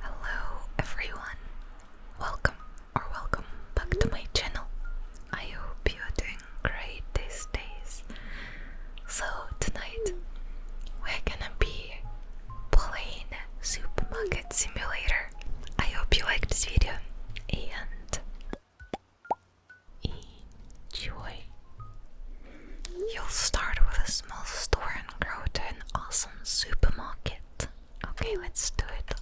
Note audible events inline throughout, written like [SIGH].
Hello everyone, welcome or welcome back to my channel. I hope you are doing great these days. So tonight we're gonna be playing Supermarket Simulator. I hope you like this video and enjoy. You'll start with a small store and grow to an awesome supermarket. Okay, let's do it.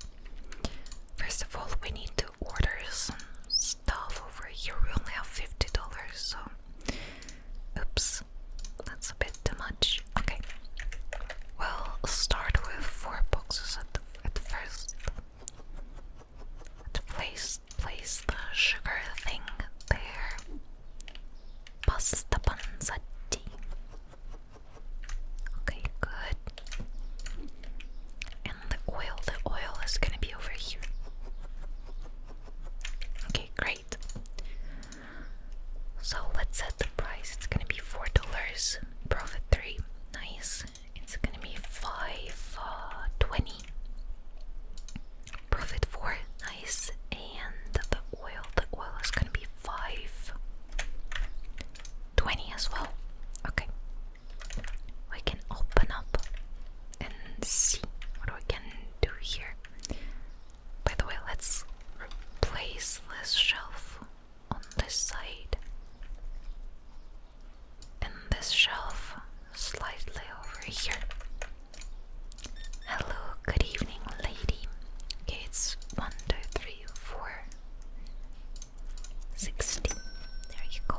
First of all, we need to order some stuff over here. We only have $50, so. Oops, that's a bit too much. Okay, well, start with four boxes at, the, at first. place, place the sugar thing there. Pasta panzetti. Okay, good. And the oil, the oil is gonna be over here. Okay, great. So let's set the price. It's gonna be four dollars. Profit three. Nice. It's gonna be five uh, twenty. Profit four. Nice. And the oil, the oil is gonna be five, twenty as well. Okay, we can open up and see what we can do here. By the way, let's replace this shelf on this side and this shelf slightly over here. Hello, good evening, lady. Okay, is 1, There you go.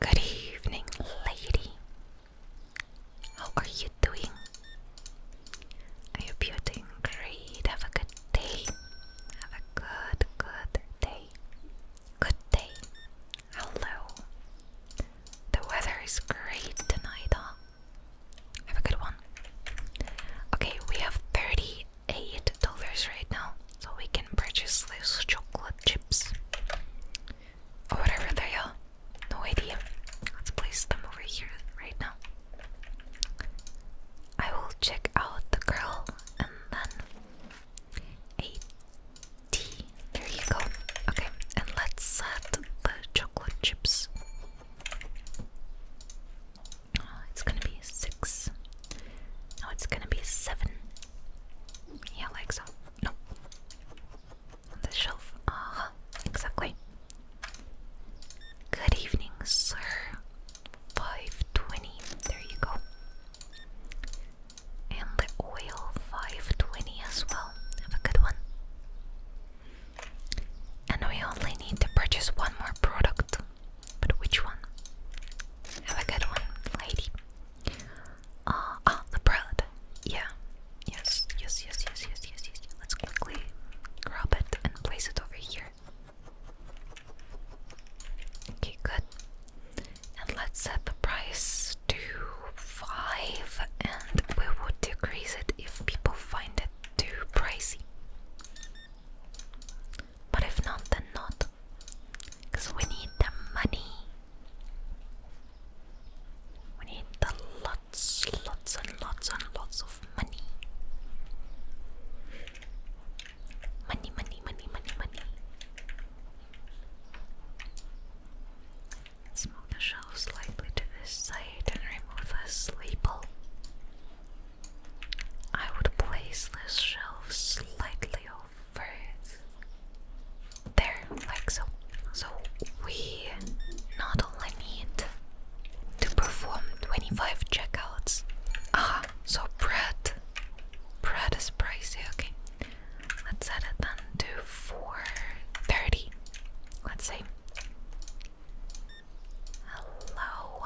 Good evening, lady. How are you doing? I hope you're doing great. Have a good day. Have a good, good day. Good day. Hello. The weather is great tonight, huh? Have a good one. Okay, we have thirty-eight dollars right now, so we can purchase these chocolate chips or whatever they are. No idea. Let's place them over here right now. I will check out the girl and then eighty. There you go. Okay, and let's set the chocolate chips uh, it's gonna be six. No, it's gonna be seven. Yeah, like so. On the shelf. Uh Exactly. Good evening, sir. 520. There you go. And the oil 520 as well. Have a good one. And we only need to purchase one more product. But which one? Have a good one, lady. Uh, ah, uh, the bread. Yeah. Yes, yes, yes, yes, yes, yes, yes. Let's quickly grab it and place it over here. Okay, good. And let's set the price to 5 and we would decrease it if people find it too pricey. But if not, then not. Because we need the money. We need the lots, lots, and lots, and lots of money. Money, money, money, money, money. let the shelf slightly to this side and remove a label. I would place this shelf slightly over there, like so. So we not only need to perform 25 checkouts. Ah, so bread. Bread is pricey, okay. Let's set it then to 430. Let's say. Hello,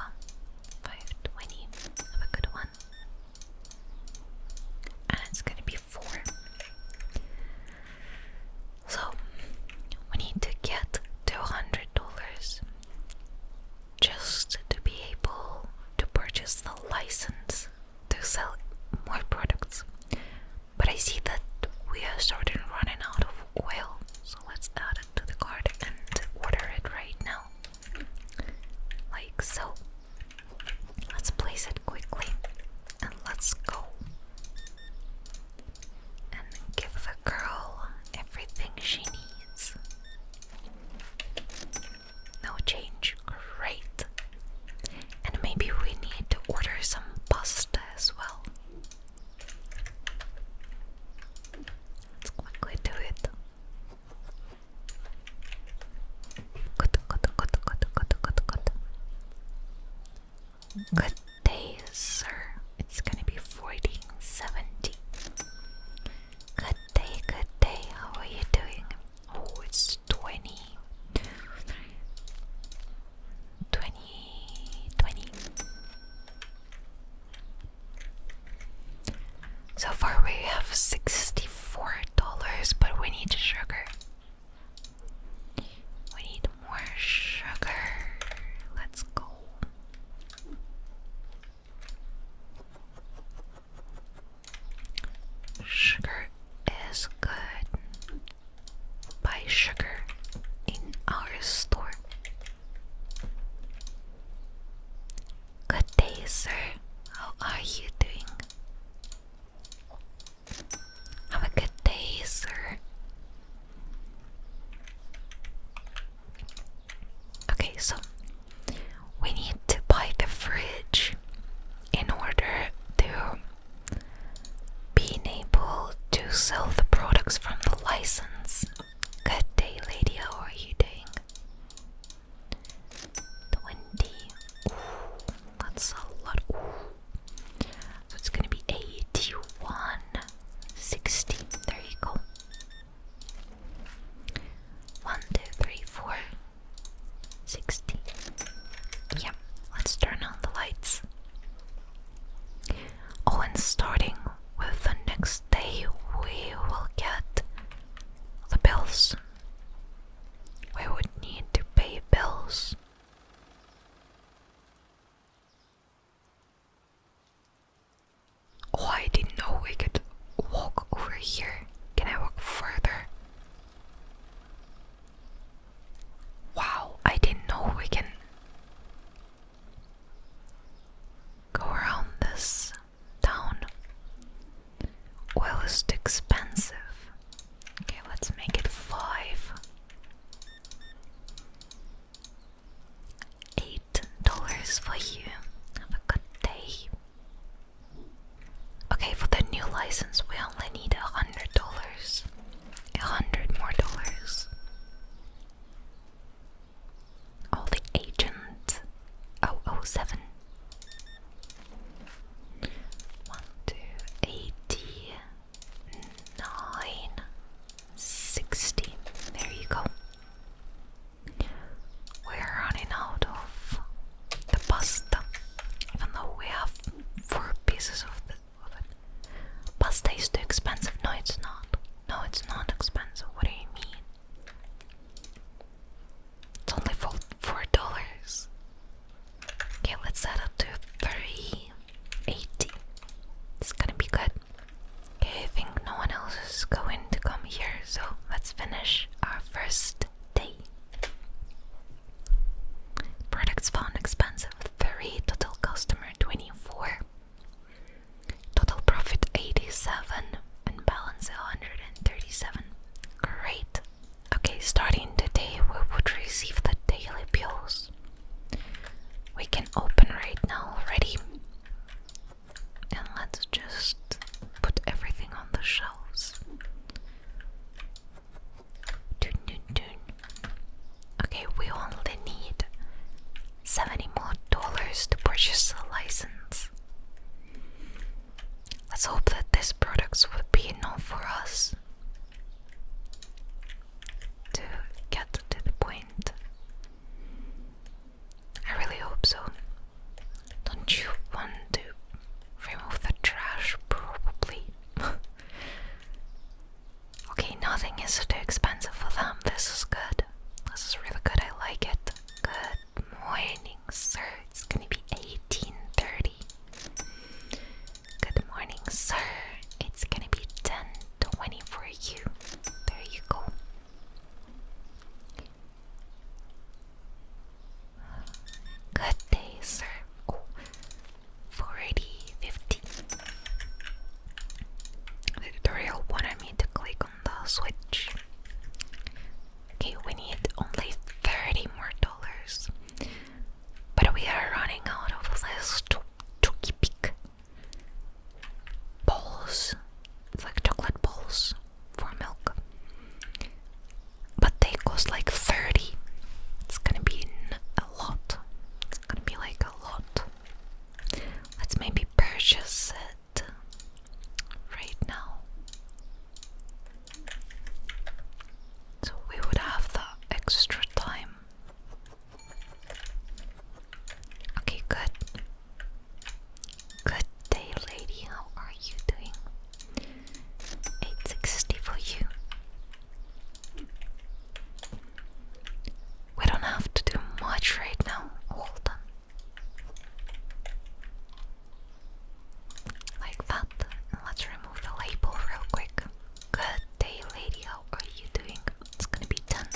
520. Have a good one. And it's gonna be four. So we need to get $200 just to be able to purchase the license to sell more products. But I see that we are starting running out of oil, so let's add to the cart and order it right now. Like so. Let's place it quickly and let's go. And give the girl everything she needs. No change. Great. And maybe we need to order some pasta as well. Good, day, sir. It's gonna be 1470. Good day, good day. How are you doing? Oh, it's 20. 20, 20. So far we have $64, but we need sugar. We need more sugar. Let's go. Sugar is good. Buy sugar in our store. Good day, sir. How are you doing? Have a good day, sir. Okay, so we need to buy the fridge in order to being able to sell the products from the license. Good day, lady. How are you doing? Twenty. that's a lot. it's gonna be eighty-one, sixty. There you go. One, two, three, four, sixty. Yeah. Let's turn on the lights. Oh, and starting with the next day, we will get the bills. We would need to pay bills. Oh, I didn't know we could walk over here. Can I walk further? Wow, I didn't know we can Go around this town. Oil is expensive. Okay, let's make it five. Eight dollars for you. Have a good day. Okay, for the new license, we only need a hundred dollars. A hundred more dollars. All the agents. 007. There you go. We're running out of the pasta, even though we have four pieces of, the, of it. Pasta is too expensive. No, it's not. No, it's not expensive. What do you mean? It's only for four dollars. Okay, let's set up to three eighty. It's gonna be good. Okay, I think no one else is going to come here, so let's finish our first day. Products found expensive. Three total customer twenty-four. Total profit 87 and balance 137. Great. Okay, starting today, we would receive the daily bills. We can open right now already. And let's just put everything on the shelves. Dun, dun, dun. Okay, we only need 70 more dollars to purchase a license. Let's hope that these products would be enough for us to get to the point. I really hope so. Don't you want to remove the trash? Probably. [LAUGHS] okay, nothing is too expensive for them. This is good. This is really good. I like it. Good morning, sir. It's gonna be 1830. Good morning, sir. It's gonna be 1020 for you. There you go. Good day, sir. Oh, The tutorial wanted me to click on the Switch. Okay, we need only 30 more dollars. But we are running out of this chooky pick balls. It's like chocolate balls for milk. But they cost like 30. It's gonna be a lot. It's gonna be like a lot. Let's maybe purchase it right now. So we would have the extra time. Okay, good. Good day, lady. How are you doing? 860 for you. We don't have to do much right now. Hold on. Like that. let's remove the label real quick. Good day, lady. How are you doing? It's gonna be done.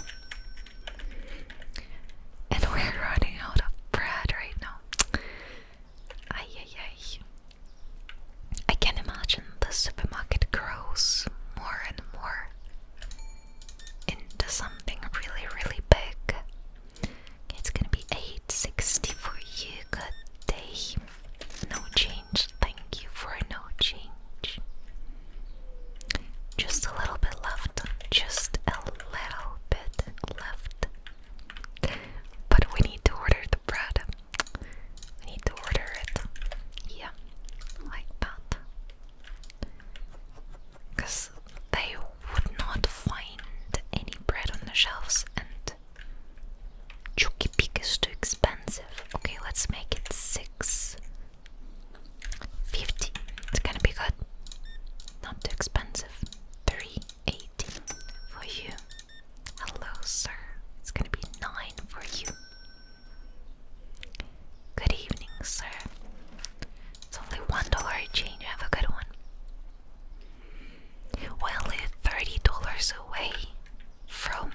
And we're [LAUGHS] running out of bread right now. Ay, ay, ay. I can imagine the supermarket grows more and more into something really, really big. it's gonna be 860 for you. No change. Thank you for no change. Just a little bit left. Just a little bit left. But we need to order the bread. We need to order it. Yeah, like that. Because they would not find any bread on the shelves and Chucky Peak is too expensive. Okay, let's make it six fifty. It's gonna be good. Not too expensive. Three eighty for you. Hello, sir. It's gonna be nine for you. Good evening, sir. It's only one dollar change. Have a good one. We'll live thirty dollars away from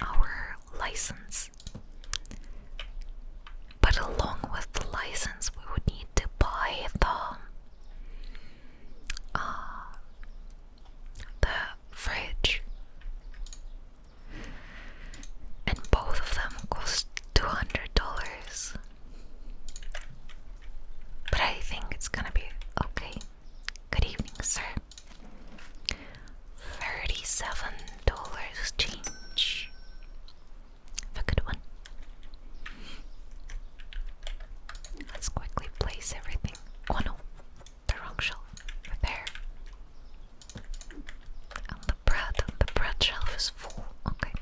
our license, but along with the license, we would need to buy the uh, the fridge and both of them cost $200. But I think it's gonna be okay. Good evening, sir. $37 change. a good one. Let's quickly place everything. Oh no, the wrong shelf. Repair. And the bread the bread shelf is full. Okay.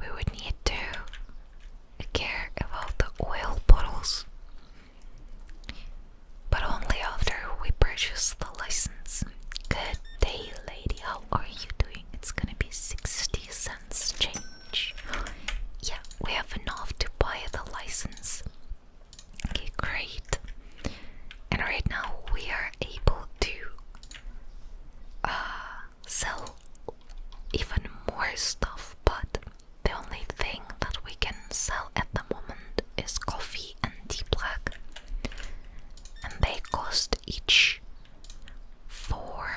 We would need to care about the oil bottles, but only after we purchase the license. Good day, lady. How are you doing? It's gonna be 60 cents change. [GASPS] Yeah, we have enough to buy the license Okay, great. And right now we are able to uh, sell even more stuff, but the only thing that we can sell at the moment is coffee and tea black, and they cost each four.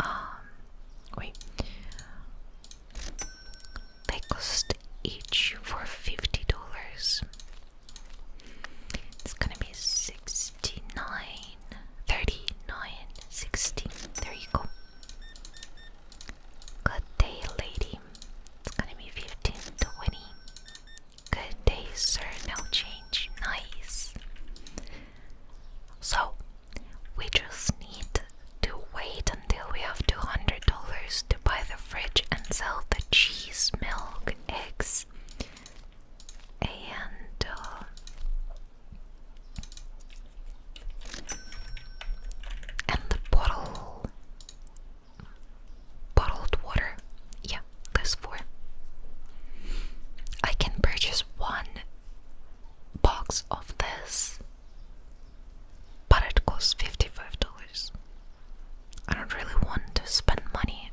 Um, wait, they cost each for $50. It's gonna be 69, 39, 16. There you go. Good day, lady. It's gonna be 15, 20. Good day, sir. No change. Nice. So, we just need to wait until we have $200 to buy the fridge and sell the cheese, milk, eggs, and uh, and the bottle bottled water. Yeah, those four. I can purchase one box of this, but it costs fifty-five dollars. I don't really want to spend money,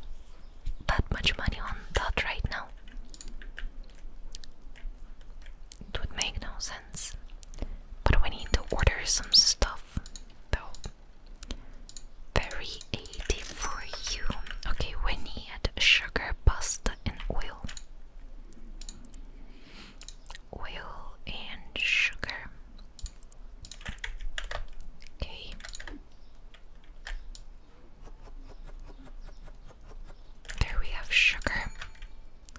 that much money on that right now. It would make no sense. But we need to order some stuff, though. Very 80 for you. Okay, we need sugar, pasta, and oil oil and sugar. Okay. There we have sugar.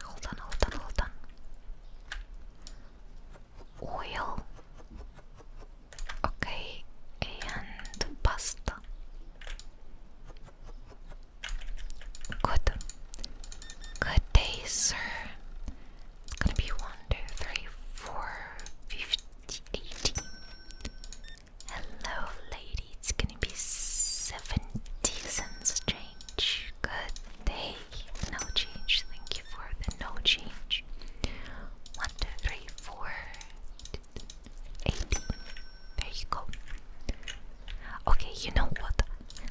Hold on, hold on, hold on. Oil. Okay, and pasta. Good. Good day, sir. It's gonna be 1, Hello, lady. It's gonna be 70 cents change. Good day. No change. Thank you for the no change. 1, There you go. Okay, you know what?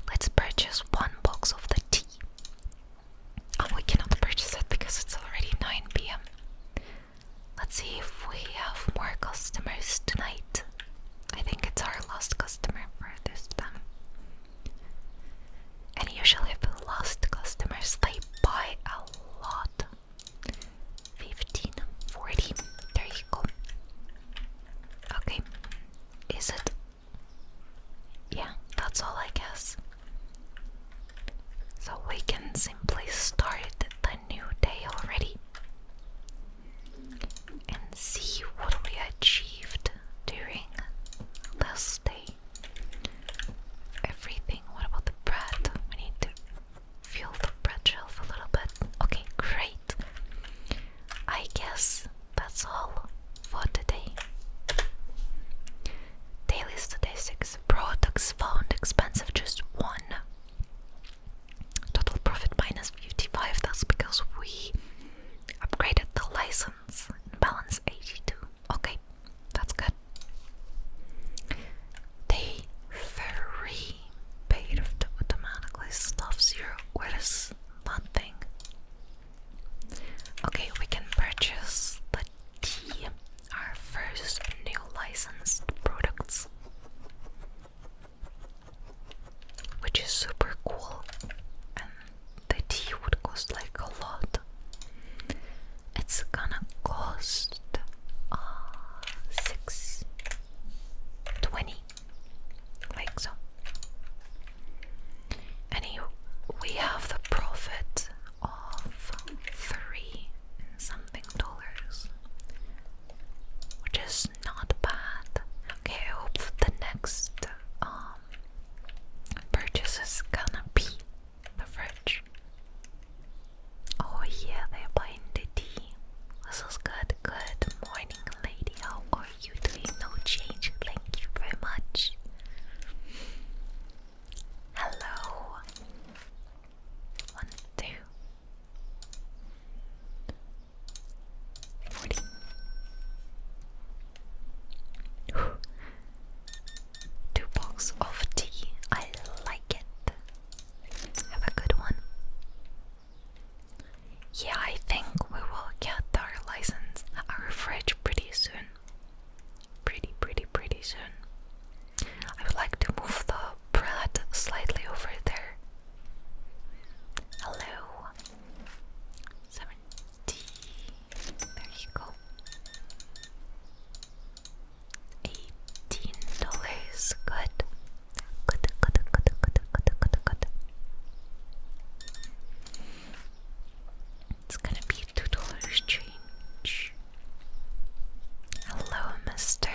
Let's purchase one box of the tea. Oh, we cannot purchase it because it's already 9 pm. Let's see if we have more customers tonight. I think it's our last customer for this time. And usually, if lost customers, they buy a lot Fifteen, forty. There you go. Okay. Is it yeah, that's all I guess. So we can simply start the new day already and see what we achieved during the day. Everything. What about the bread? We need to fill the bread shelf a little bit. Okay, great. I guess that's all for today. Daily statistics products found expensive just one. Total profit minus 55, that's because we upgraded the license balance 82. Okay, that's good. Day 3 paid automatically stuff zero. Where is that Okay, we can purchase the tea, our first new licensed products, which is super cool. And the tea would cost like a lot. It's gonna cost uh, six twenty, like so. And he, we have the profit of three something dollars, which is not bad. Okay, I hope the next um, purchase is gonna be the fridge. Oh yeah, they're buying the tea. This is good. Good morning, lady. How are you doing? No change. Thank you very much. Hello. One, two. Forty. Two box of tea. I like it. Have a good one. Yeah, I think we will get our license, our fridge pretty soon pretty, pretty, pretty soon. I would like to move the bread slightly over there. Hello. 70. There you go. Eighteen dollars. Good, good, good, good, good, good, good, good. It's gonna be two dollars change. Hello, mister.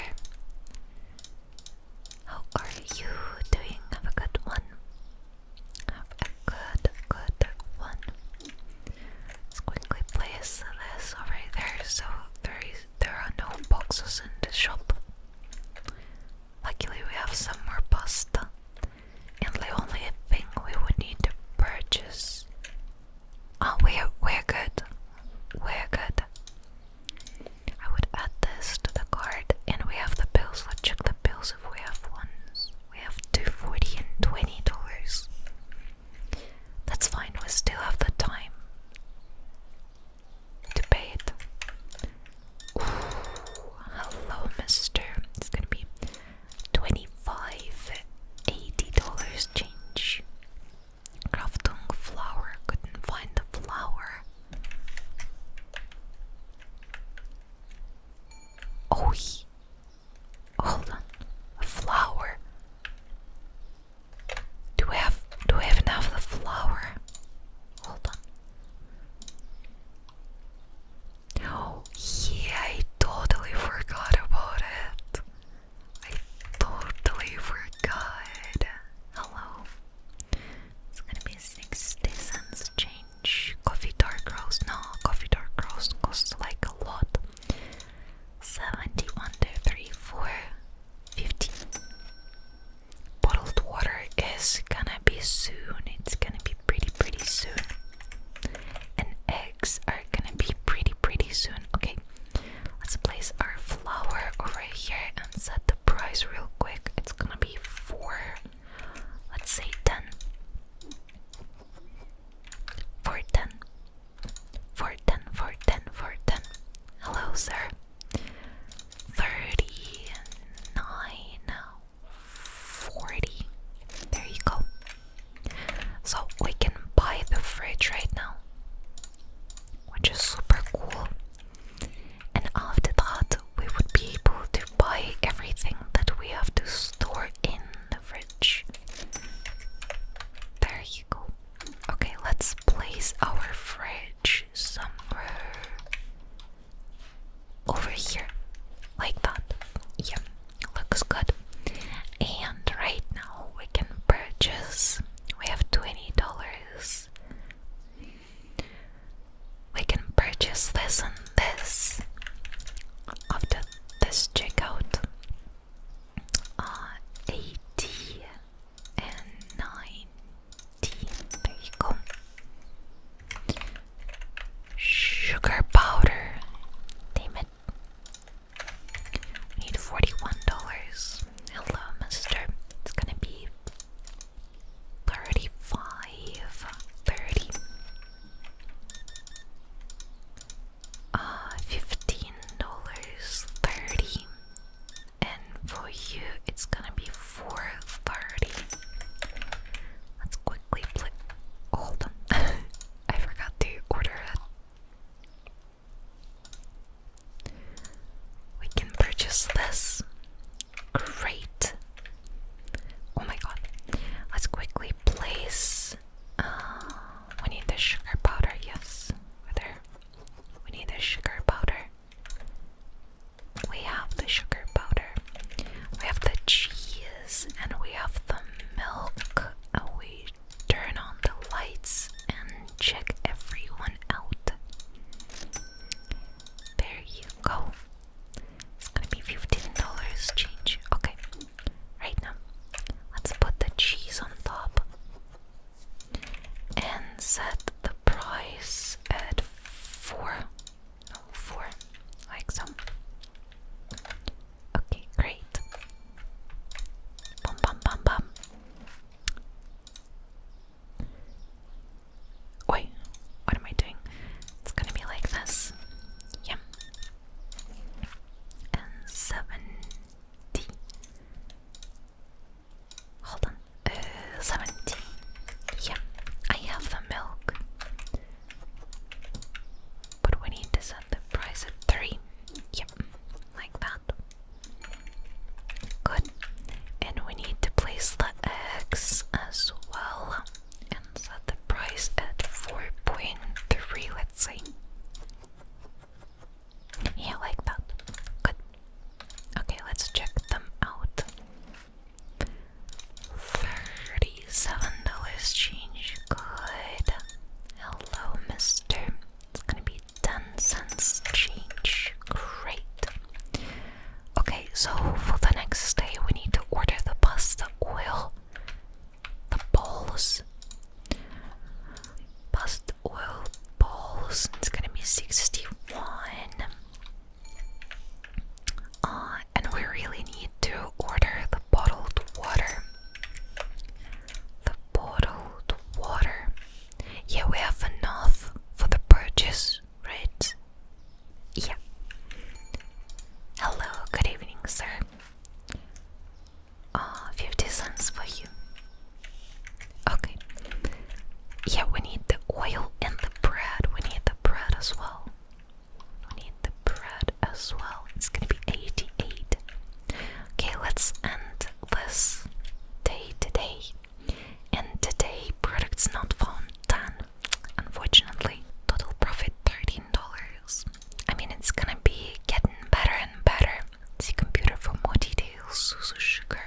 How are you doing? Have a good one. Have a good, good one. let place this over there so there, is, there are no boxes in the shop. Luckily, we have some pasta and the only thing we would need to purchase. Oh, we're we're good. We're good. I would add this to the card, and we have the bills. Let's check the bills if we have ones. We have two forty and twenty dollars. That's fine. We still have the time to pay it. Ooh, hello, Mister. It's gonna be Twenty-five eighty dollars change. Kraftung flower, couldn't find the flower. Oh, hold on, flower. Do we have do we have enough the flower? Hold on. Oh, yeah, I totally forgot about it. I totally forgot. Hello. It's gonna be 60 cents change. Coffee dark roast. No, coffee dark roast costs like a lot. 71, 34, 50. Bottled water is gonna be soon. It's gonna be pretty, pretty soon and eggs are gonna be pretty pretty soon. Okay, let's place our flower over here and set the price real quick. It's gonna be four, let's say ten. Four ten. Four ten four ten four ten. Hello, sir. Thirty nine 40. There you go. So we can buy the fridge right now, which is super cool. And after that, we would be able to buy everything that we have to store in the fridge. There you go. Okay, let's place our fridge somewhere over here, like that. Yeah, looks good. And right now we can purchase, we have $20. We can purchase this and this after this checkout. Uh, 80 and 90. There you go. Sugar powder. Damn it. I need $41. Hello, mister. It's gonna be 35 30 uh, $15 30 and for you it's gonna be 430 let's quickly play hold on [LAUGHS] I forgot to order it. We can purchase this. Great. Oh my god. Let's quickly place. Uh, we need the sugar powder, yes. Whether we need the sugar powder. We have the sugar powder. We have the cheese and we have the milk. Uh, we turn on the lights and check everyone out. There you go. It's gonna be $15 change. Okay, right now, let's put the cheese on top and set the price at 4. No, 4, like so. Okay, great. Bum bum bum bum. Wait, what am I doing? It's gonna be like this. Yeah. And seventy. Hold on. Uh, seventy. Yeah, I have the milk. But we need to set the price at 3. Yep, like that. Good. And we need to place the eggs as well and set the price at 4.3, let's say. Yeah, like that. Good. Okay, let's check them out. 30 Seven dollars change. Good. Hello, mister. It's gonna be 10 cents change. Great. Okay, so for the next day, we need to order the pasta oil, the balls, pasta oil balls. It's gonna be 61. Uh, and we really need to order the bottled water. The portal, the water. Yeah, we have enough for the purchase, right? Yeah. Hello, good evening, sir. Uh, 50 cents for you. Okay. Yeah, we need the oil and the bread. We need the bread as well. We need the bread as well. It's gonna be 88. Okay, let's end this day today. And today, products not found 10, unfortunately. Total profit $13. I mean, it's gonna be getting better and better. See computer for more details. Susu sugar.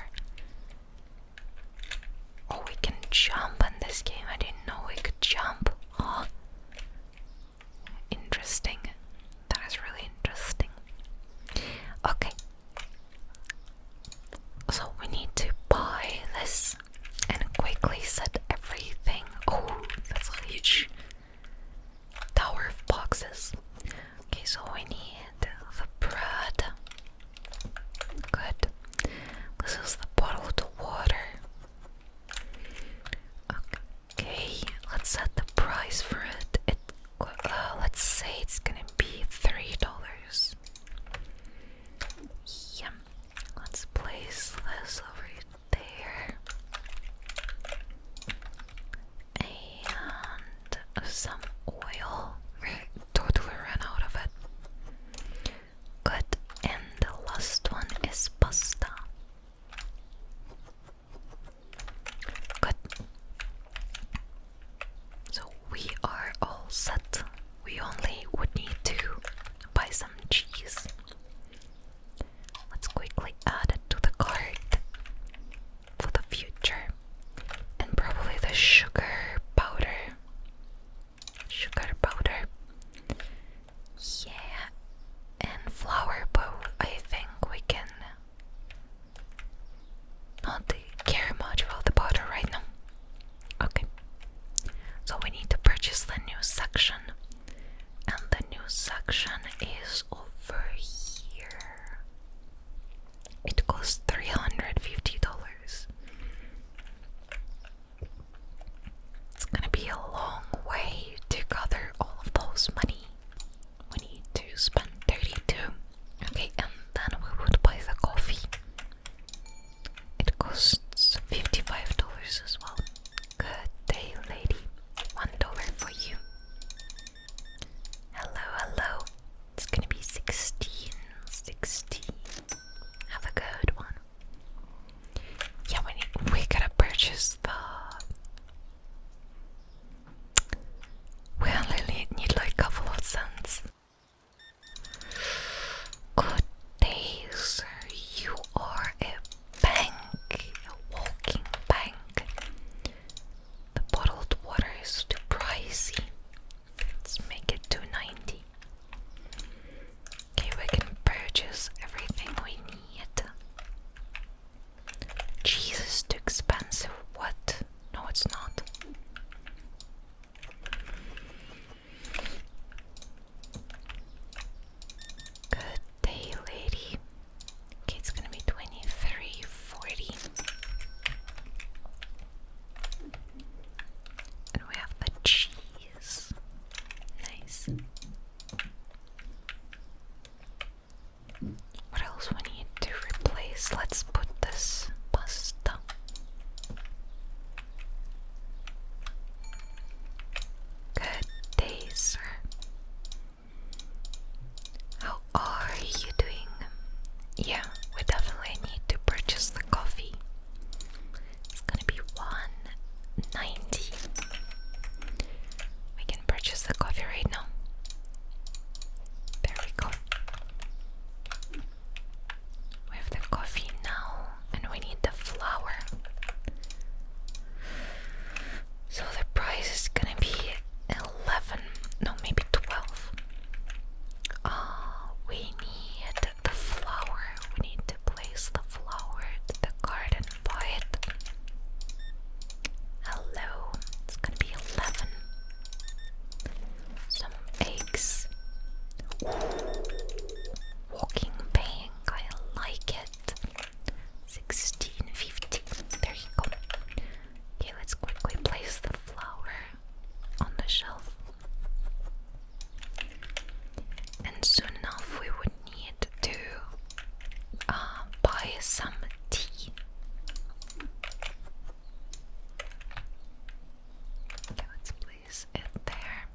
Oh, we can jump in this game. I didn't know we could jump. Interesting. That is really interesting. Okay. So we need to buy this and quickly set everything. Oh, that's a huge tower of boxes. Okay, so we need the bread. Good. This is the bottle bottled water. Okay. Okay, let's set the price for it. Uh, let's say it's gonna be three dollars. Yep. let's place this over there. And some oil. we totally ran out of it. Good. And the last one is pasta. Good. So we are all set. We only would need to buy some cheese. Let's quickly add it to the cart for the future. And probably the sugar powder. Sugar powder. Yeah, and flower bowl. I think we can not care much about the powder right now. Okay, so we need to purchase the new section, and the new section is over here. It costs three hundred fifty dollars. It's gonna be a long way to gather all of those money we need to spend 32. Okay, and then we would buy the coffee. It costs $55 as well. Good day, lady. One dollar for you. Hello, hello. It's gonna be 16. Have a good one. Yeah, we, need, we gotta purchase the we only need like a couple of cents. Good day, sir. You are a bank, a walking bank. The bottled water is too pricey. Let's make it 290. Okay, we can purchase everything we need. Jesus, too expensive. What? No, it's not. Good day, lady. it's gonna be 23, And we have the cheese. Nice. What else we need to replace? Let's put this pasta. Good day, sir. How are you doing? Yeah, we definitely need to purchase the coffee. It's gonna be 190 can purchase the coffee right now. There we go. We have the coffee now, and we need the flour. So the price is gonna be 11, no, maybe 12. Uh, we need the flour, we need to place the flour the garden poet. Hello. It's gonna be eleven. Some eggs. Walking bank. I like it. Sixteen fifty. There you go. Okay, let's quickly place the flower on the shelf. And soon enough, we would need to uh, buy some tea. let's place it there.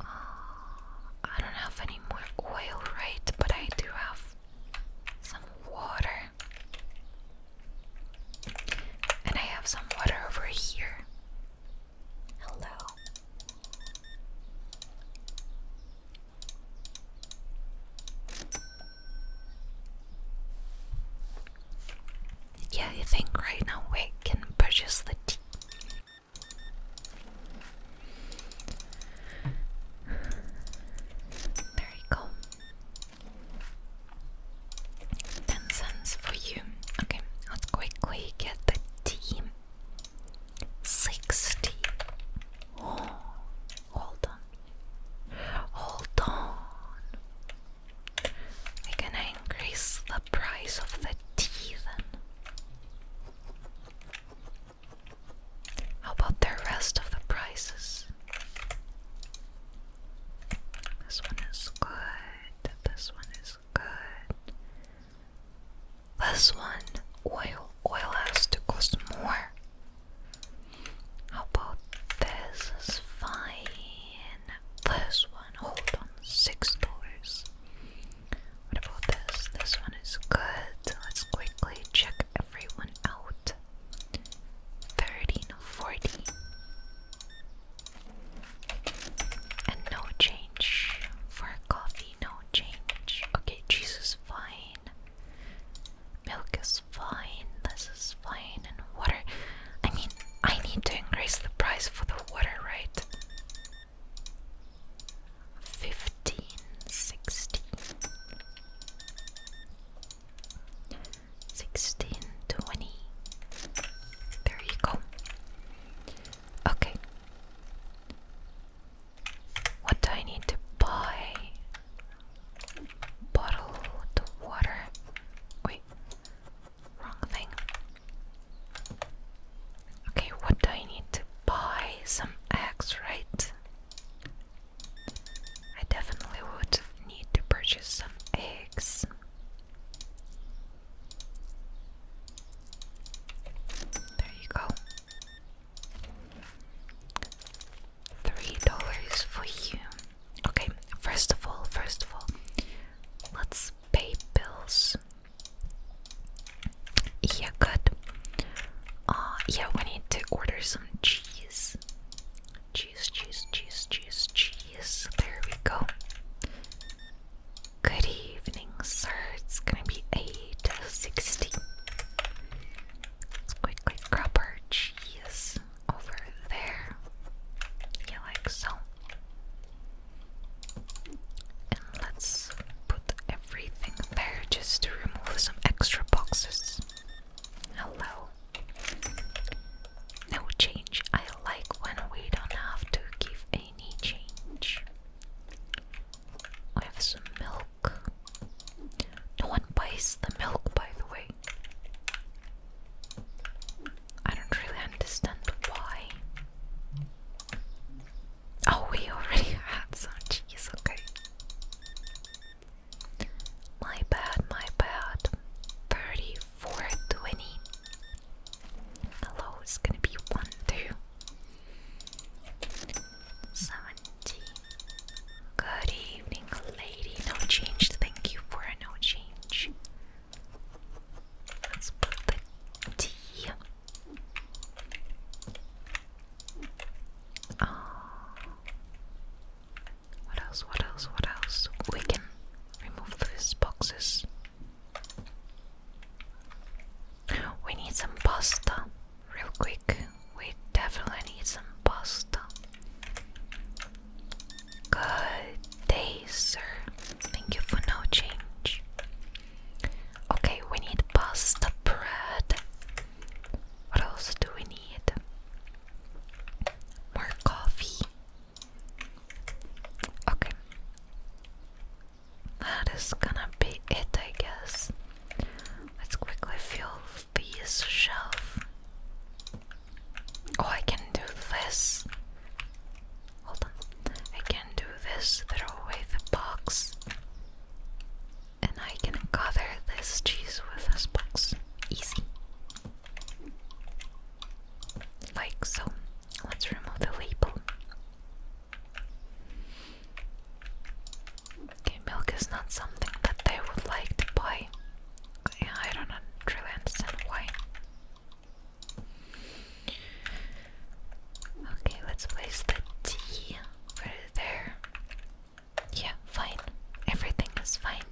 Uh, I don't have any more oil, right? But I do have some water. And I have some water over here. Hello. Yeah, I think right now we can purchase the team. There you Ten cents for you. Okay, let's quickly get the tea. Sixty. Oh, hold on. Hold on. we gonna increase the price of the tea then. How about the rest of the prices? This one is good. This one is good. This one, oil. Oil has to cost more. How about this? fine. This one, hold on, six dollars. What about this? This one is good. Let's quickly check everyone out. Thirteen forty. And no change for coffee, no change. Okay, cheese is fine. Milk is fine. This is fine. And water. I mean, I need to increase the price for the water, right? 15, 16. 16, 20. There you go. Okay. What do I need to buy? Bottle the water. Wait, wrong thing. Okay, what do I need to buy? Some eggs, right? I definitely would need to purchase some eggs. There you go. Three dollars for you. Okay, first of all, first of all, let's pay bills. Yeah, good. Uh, yeah, we need to order some cheese. Cheese, cheese, cheese, cheese, cheese. There we go. Goody evening, sir. It's gonna be 8.60. Let's quickly grab our cheese over there. Yeah, like so. And let's put everything there just to remove some extra boxes. Hello. No change. I like when we don't have to give any change. I have some milk. No one buys the milk, by the way. I don't really understand why. Oh, we already [LAUGHS] had some cheese, okay. My bad, my bad. 3420. Hello, it's gonna be 1 2. Seventy. Good evening, lady. No change. Thank you for no change. Let's put the D. Oh. Ah. What else? What else? What else? We can remove these boxes. We need some pasta. Real quick, we definitely need some pasta. Good day, sir. Thank you for no change. Okay, we need pasta bread. What else do we need? More coffee. Okay that is gonna be it, I guess. Let's quickly fill this shelf. Oh, I can do this. Hold on. I can do this, throw away the box, and I can cover this cheese with this box. Easy. Like so. Let's remove the label. Okay, milk is not something that they would like to buy. I don't really understand why. Okay, let's place the tea. Put there. Yeah, fine. Everything is fine.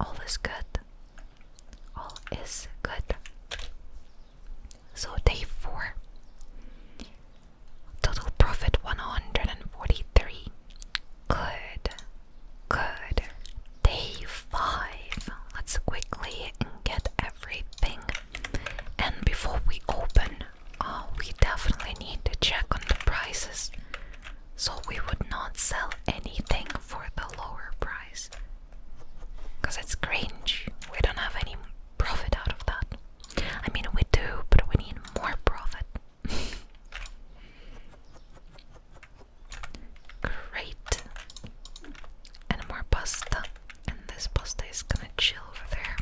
All is good. All is good. So, day four. Total profit 143. Good. Good. Day 5. Let's quickly get everything. And before we open, uh, we definitely need to check on the prices. So we would not sell anything for the lower price. Because it's cringe. We don't have any profit out of that. I mean, we do, but we need more profit. Great. And more pasta. And this pasta is gonna chill over there.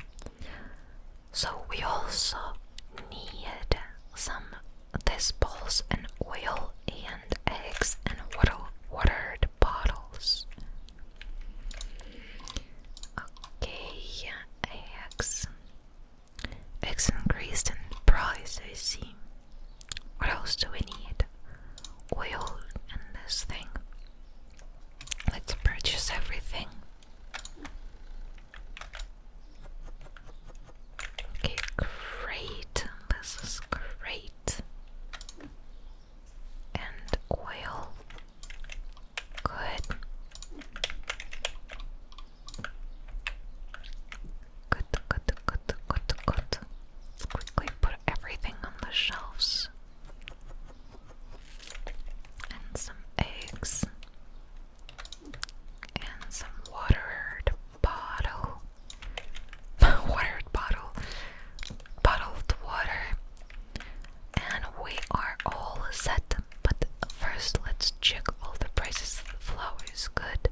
So we also need some this balls and oil and eggs and water watered bottles. Okay, AX. X increased in price, I see. What else do we need? Oil and this thing. Let's purchase everything. Okay, great. This is great. And oil. Good. Good, good, good, good, quickly put everything on the shelves. And some eggs. And some watered bottle. [LAUGHS] watered bottle. Bottled water. And we are all set. But first, let's check all the prices. Flour is good.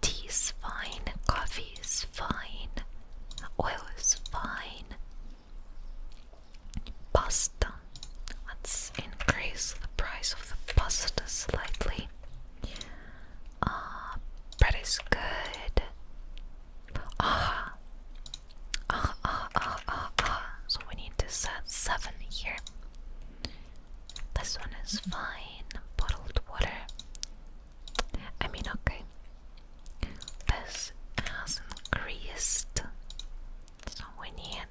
Tea is fine. Coffee is fine. Oil is fine. Pasta. Let's increase the price of the pasta slightly. Uh, bread is good. Ah, Ah, ah, ah, ah, ah. So we need to set seven here. This one is fine. Bottled water. I mean, okay. This has increased. So we need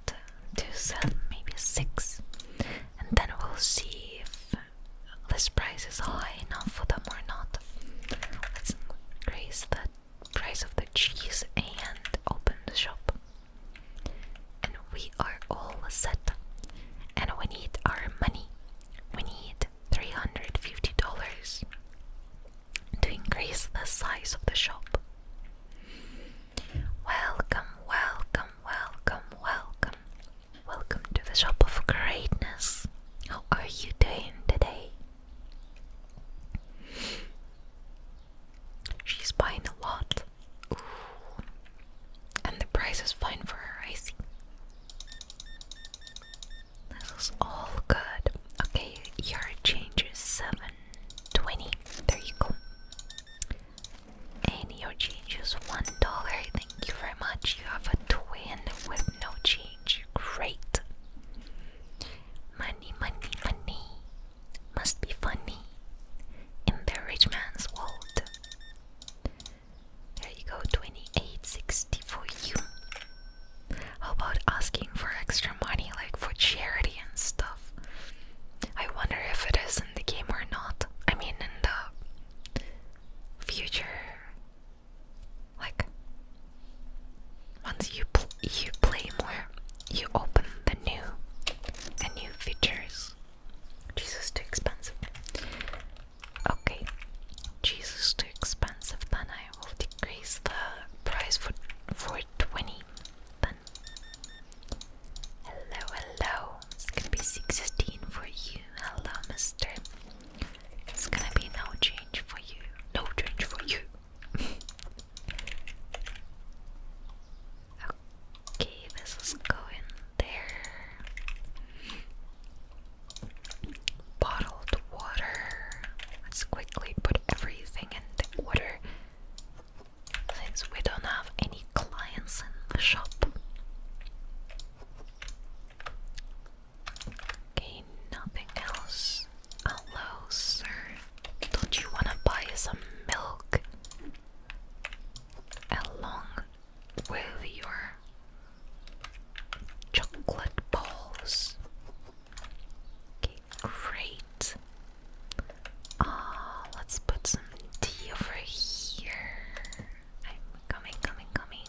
to set maybe six. And then we'll see if this price is high enough for them or not. Let's increase that price of the cheese and open the shop. And we are all set. And we need our money. We need $350 to increase the size of the shop. Welcome, welcome, welcome, welcome. Welcome to the shop of greatness. How are you doing today? She's buying a lot. And the price is fine for her, I see. This all good. Okay, your change is 720. There you go. And your change is one dollar. Thank you very much. You have a twin with no change. Great. Money, money, money must be funny in the rich man's world. There you go, 2860 for you. How about asking for extra money, like for charity and stuff? I wonder if it is in the game or not. I mean, in the future. Like, once you you play more, you open the new the new features. Jesus too expensive. Okay. Jesus too expensive, then I will decrease the price for for twenty Hello, hello. It's gonna be sixteen for you. Hello, mister. It's gonna be no change for you. No change for you. [LAUGHS] Okay, this is going there. Bottled water. Let's quickly put everything in the since we don't have any clients in the shop. Okay, nothing else. Hello, sir. Don't you wanna buy some milk along with your chocolate balls? Okay, great. Ah, let's put some tea over here. I'm coming, coming, coming.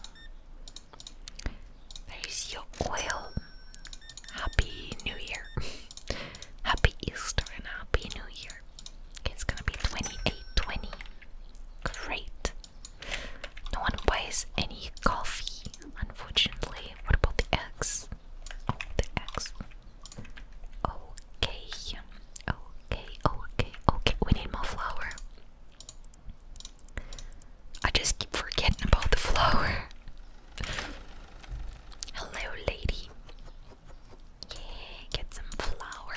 There's your oil. Happy New Year. [LAUGHS] happy Easter and Happy New Year. Okay, it's gonna be 2820. Great. No one buys any coffee, unfortunately. What about the eggs? Oh, the eggs. Okay. Okay, okay, okay. We need more flour. I just keep forgetting about the flour. Hello, lady. Yeah, get some flour.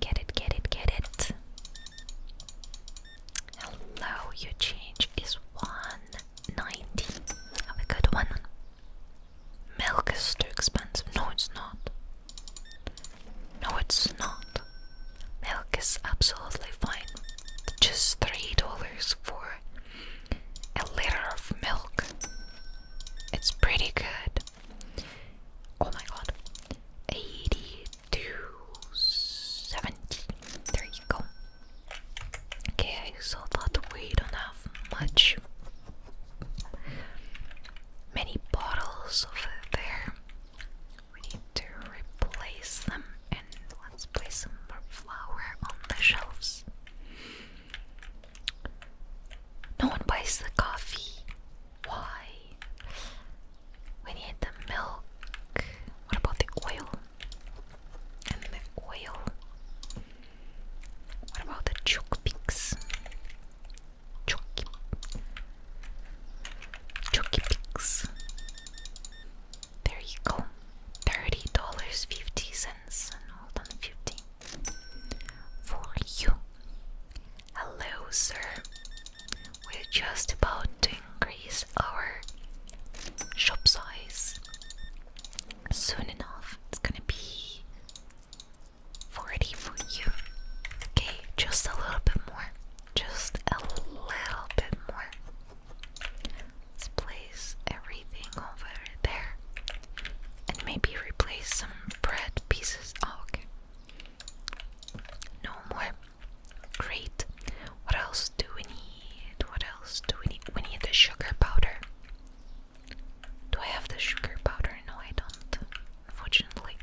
Get it, get it, get it. Hello, your change is 190. Have a good one. Milk is too expensive. No, it's not. No, it's not. Milk is absolutely fine. Just $3 for a liter of milk. It's pretty good. Oh my god. 8270. go. Okay, so that we don't have much many bottles over there. We need to replace them and let's place some more flour on the shelves. No one buys the coffee. Why? We need the milk. What about the oil? And the oil. What about the chocpics? Chocky. Chocky pigs. There you go. Thirty dollars fifty cents hold on fifty for you. Hello, sir. We're just about to increase our shop size soon enough. It's gonna be 40 for you. Okay, just a little bit more. Just a little bit more. Let's place everything over there. And maybe replace some bread pieces. Oh, okay. No more. Great. What else do we need? What else do we need? We need the sugar powder. Do I have the sugar powder? No, I don't. Unfortunately.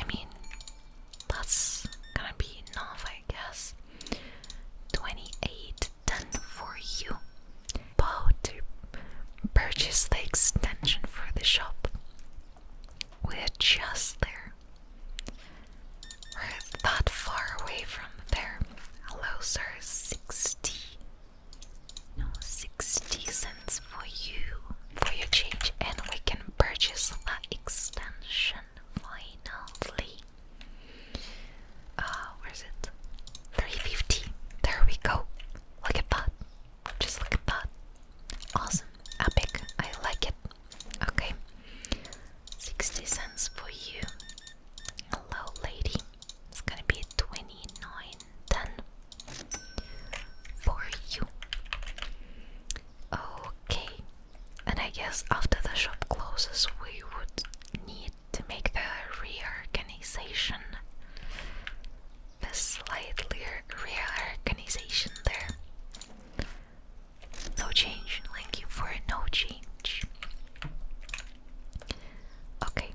I mean, that's gonna be enough, I guess. 28 done for you. Bow to purchase the extension for the shop. We're just there. We're that far away from there. Hello, sir. 60. No, 60 cents for you. For your change, and we can purchase the extension finally. Uh, where's it? 350. There we go. Look at that. Just look at that. Awesome. Epic. I like it. Okay. 60 cents for you. Hello, lady. It's gonna be 29.10 for you. Okay, and I guess after the shop closes, we would need to make the reorganization. The slightly reorganization there. No change, thank you for no change. Okay,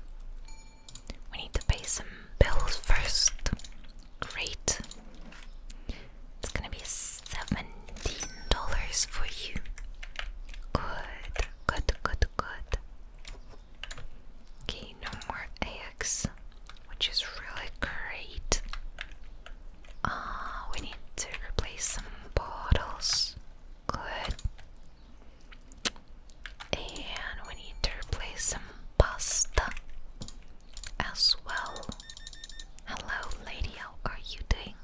we need to pay some bills first. Great. It's gonna be seventeen dollars for you. Good, good, good, good. Okay, no more eggs, which is really great. Ah, we need to replace some bottles. Good. And we need to replace some pasta as well. Hello, lady, how are you doing?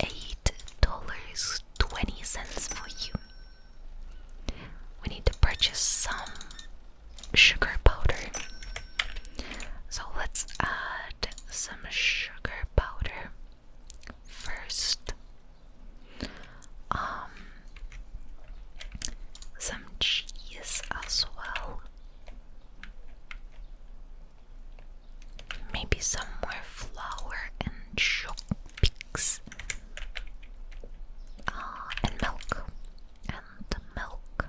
Eight dollars twenty cents for you. We need to purchase some sugar powder. So let's add some sugar powder first. Um some cheese as well. Maybe some more flour and chopsticks. Ah, and milk. And milk.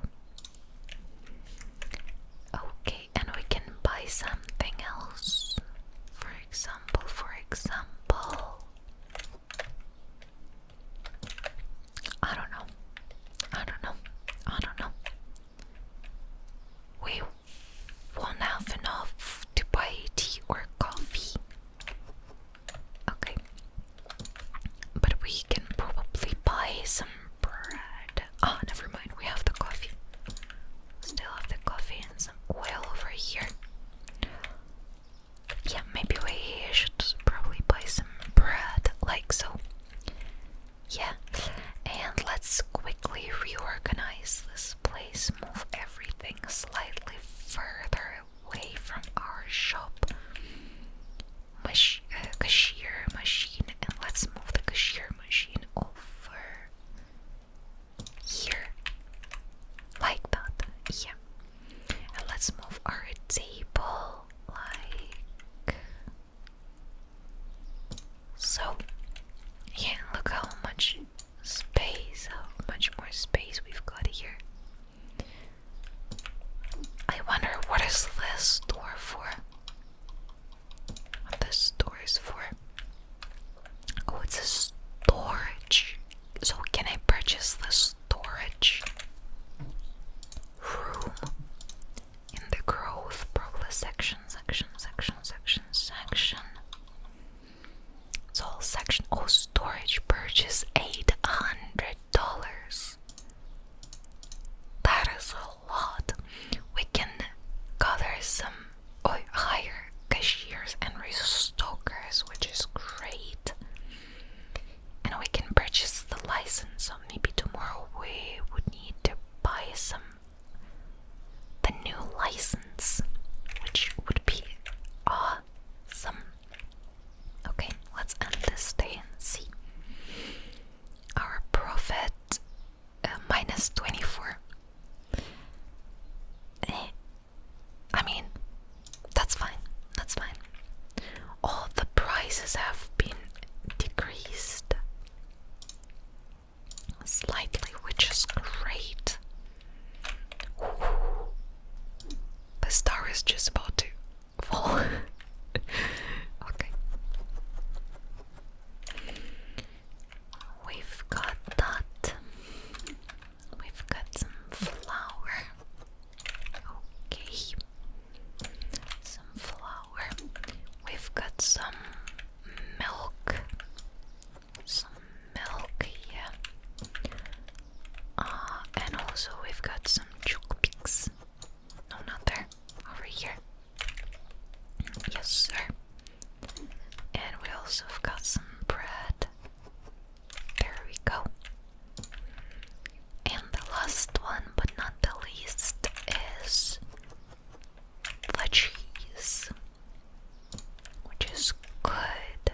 Okay, and we can buy something else. For example, for example. I don't know. I don't know. I don't know. We won't have enough to buy tea or coffee. Okay. But we can probably buy some bread. Ah, never mind. We have the coffee. Still have the coffee and some oil over here. Yeah, maybe we should probably buy some bread, like so. Yeah, and let's quickly reorganize this place, move everything slightly further away from our shop uh, cashier machine, and let's move the cashier machine over here, like that. Yeah, and let's move our table like so, yeah, look how much space, how much more space we've got here. I wonder what is this store for? What this store is for? Oh, it's a storage. So, can I purchase the storage room? in the growth progress section, section, section, section, section. It's all section. Oh, storage purchase eight hundred dollars. That is a lot. We can gather some or hire cashiers and restockers, which is great. And we can purchase the license maybe tomorrow we would need to buy some the new license, which would be awesome. Okay, let's end this day and see our profit uh, 24. Eh, I mean, that's fine, that's fine all the prices have been decreased slightly, which is great. The star is just about to fall. [LAUGHS] okay. We've got that. We've got some flour. Okay some flour. We've got some milk. Some milk, yeah. Uh, and also we've got some chukpiks. No, not there. Over here. Yes, sir. And we also have got some bread. There we go. And the last one, but not the least, is the cheese, which is good,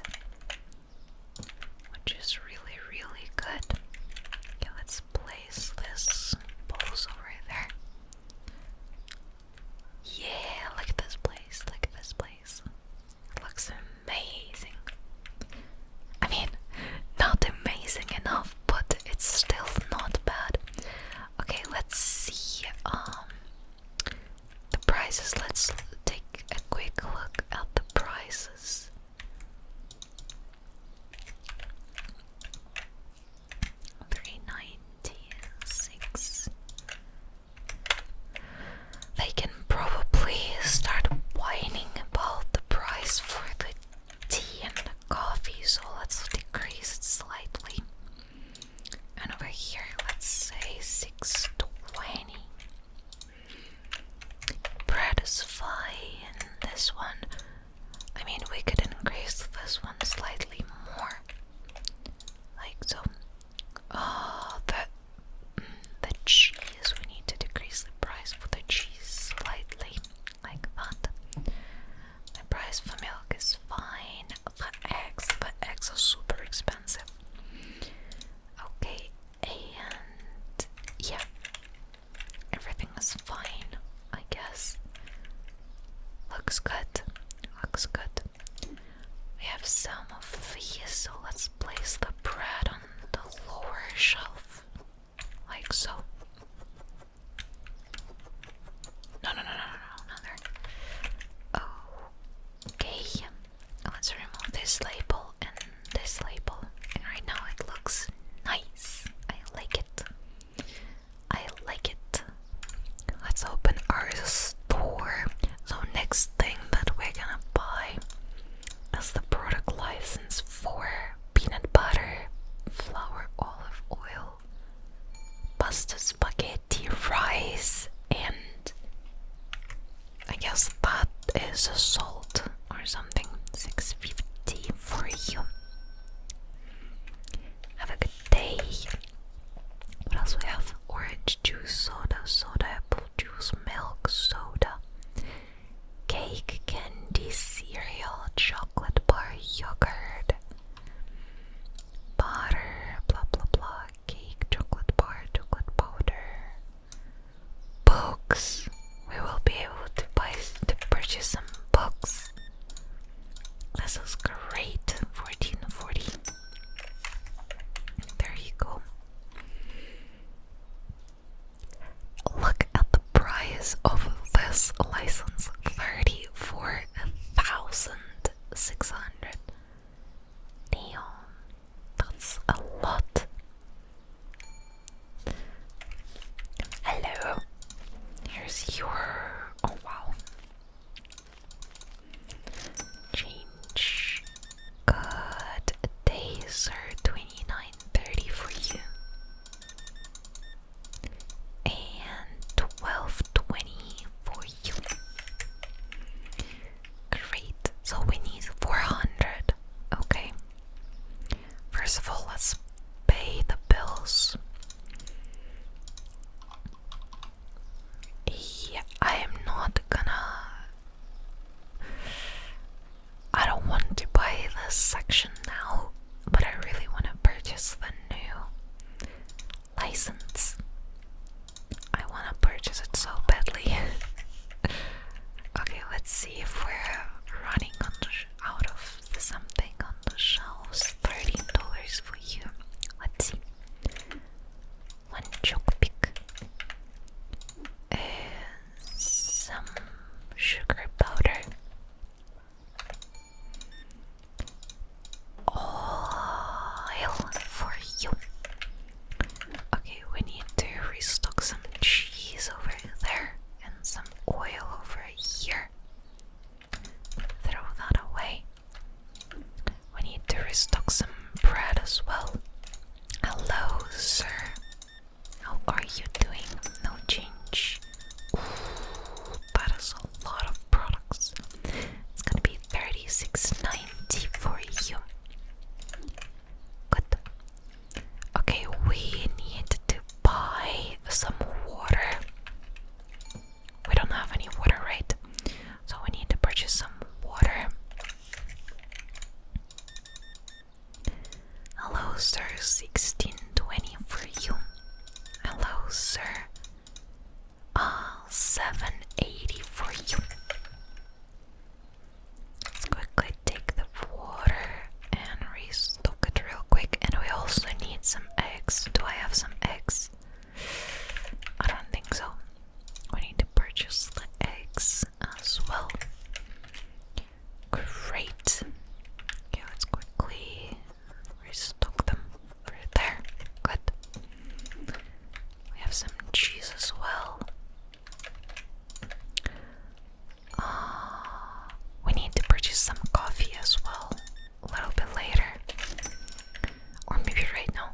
which is really, really good. Okay, let's place this bowls over there. Yeah, look at this place, look at this place. It looks amazing. I mean, not amazing enough but it's still not bad. Okay, let's see um, the prices. Let's take a quick look at the prices. Three ninety six. They can probably start whining about the price for the tea and coffee, so let's decrease it slightly. And over here, let's say 620. Bread is fine. This one, I mean, we could increase this one slightly more. Like so. Oh, ah, that. Mm, the cheese, we need to decrease the price for the cheese slightly, like that. The price for milk is fine. For eggs, but eggs are super expensive. Okay, and yeah, everything is fine, I guess. Looks good. Looks good. We have some of these, so let's place the bread on the lower shelf like so. No, no, no, no, no, no, there. Okay, let's remove this label and this label. And right now it looks nice. I like it. I like it. Let's open our store. So, next thing that we're gonna buy is the product license for peanut butter, flour, olive oil, pasta, spaghetti, rice, and I guess that is a salt or something. 650 for you. Have a good day. What else we have? Orange juice, soda, soda, apple juice, milk, soda, cake, candy candy cereal, chocolate bar, yogurt, butter, blah blah blah, cake, chocolate bar, chocolate powder, books. We will be able to buy to purchase some books. This is great. Fourteen forty. There you go. Look at the price of this license thirty-four thousand six hundred. Damn, that's a lot. Hello. Here's your oh wow. Change good day, sir. Twenty nine thirty for you and 1220 for you. Great. So we need 400. Okay. First of all, let's pay the bills. Yeah, I am not gonna. I don't want to buy this section now but I really want to purchase the new license. I want to purchase it so badly. [LAUGHS] okay, let's see if we're running out of something on the shelves. Thirteen dollars for you. Let's see. One choke pick. Uh, some sugar powder. Oil for you. Okay, we need to restock some cheese over there and some oil over here. Throw that away. We need to restock some bread as well. Hello, sir. How are you doing? No change. Ooh, that is a lot of products. It's gonna be thirty-six ninety for you. Good. Okay, we need to buy some water. We don't have any water, right? So we need to purchase some water. Hello, sir. Sixteen twenty for you. Hello, sir. Ah, 780 for you. Let's quickly take the water and restock it real quick. And we also need some eggs. Do I have some eggs? I don't think so. We need to purchase the eggs as well. Great. Okay, let's quickly restock them right there. Good. We have some cheese as well. Uh, we need to purchase some coffee as well a little bit later. Or maybe right now.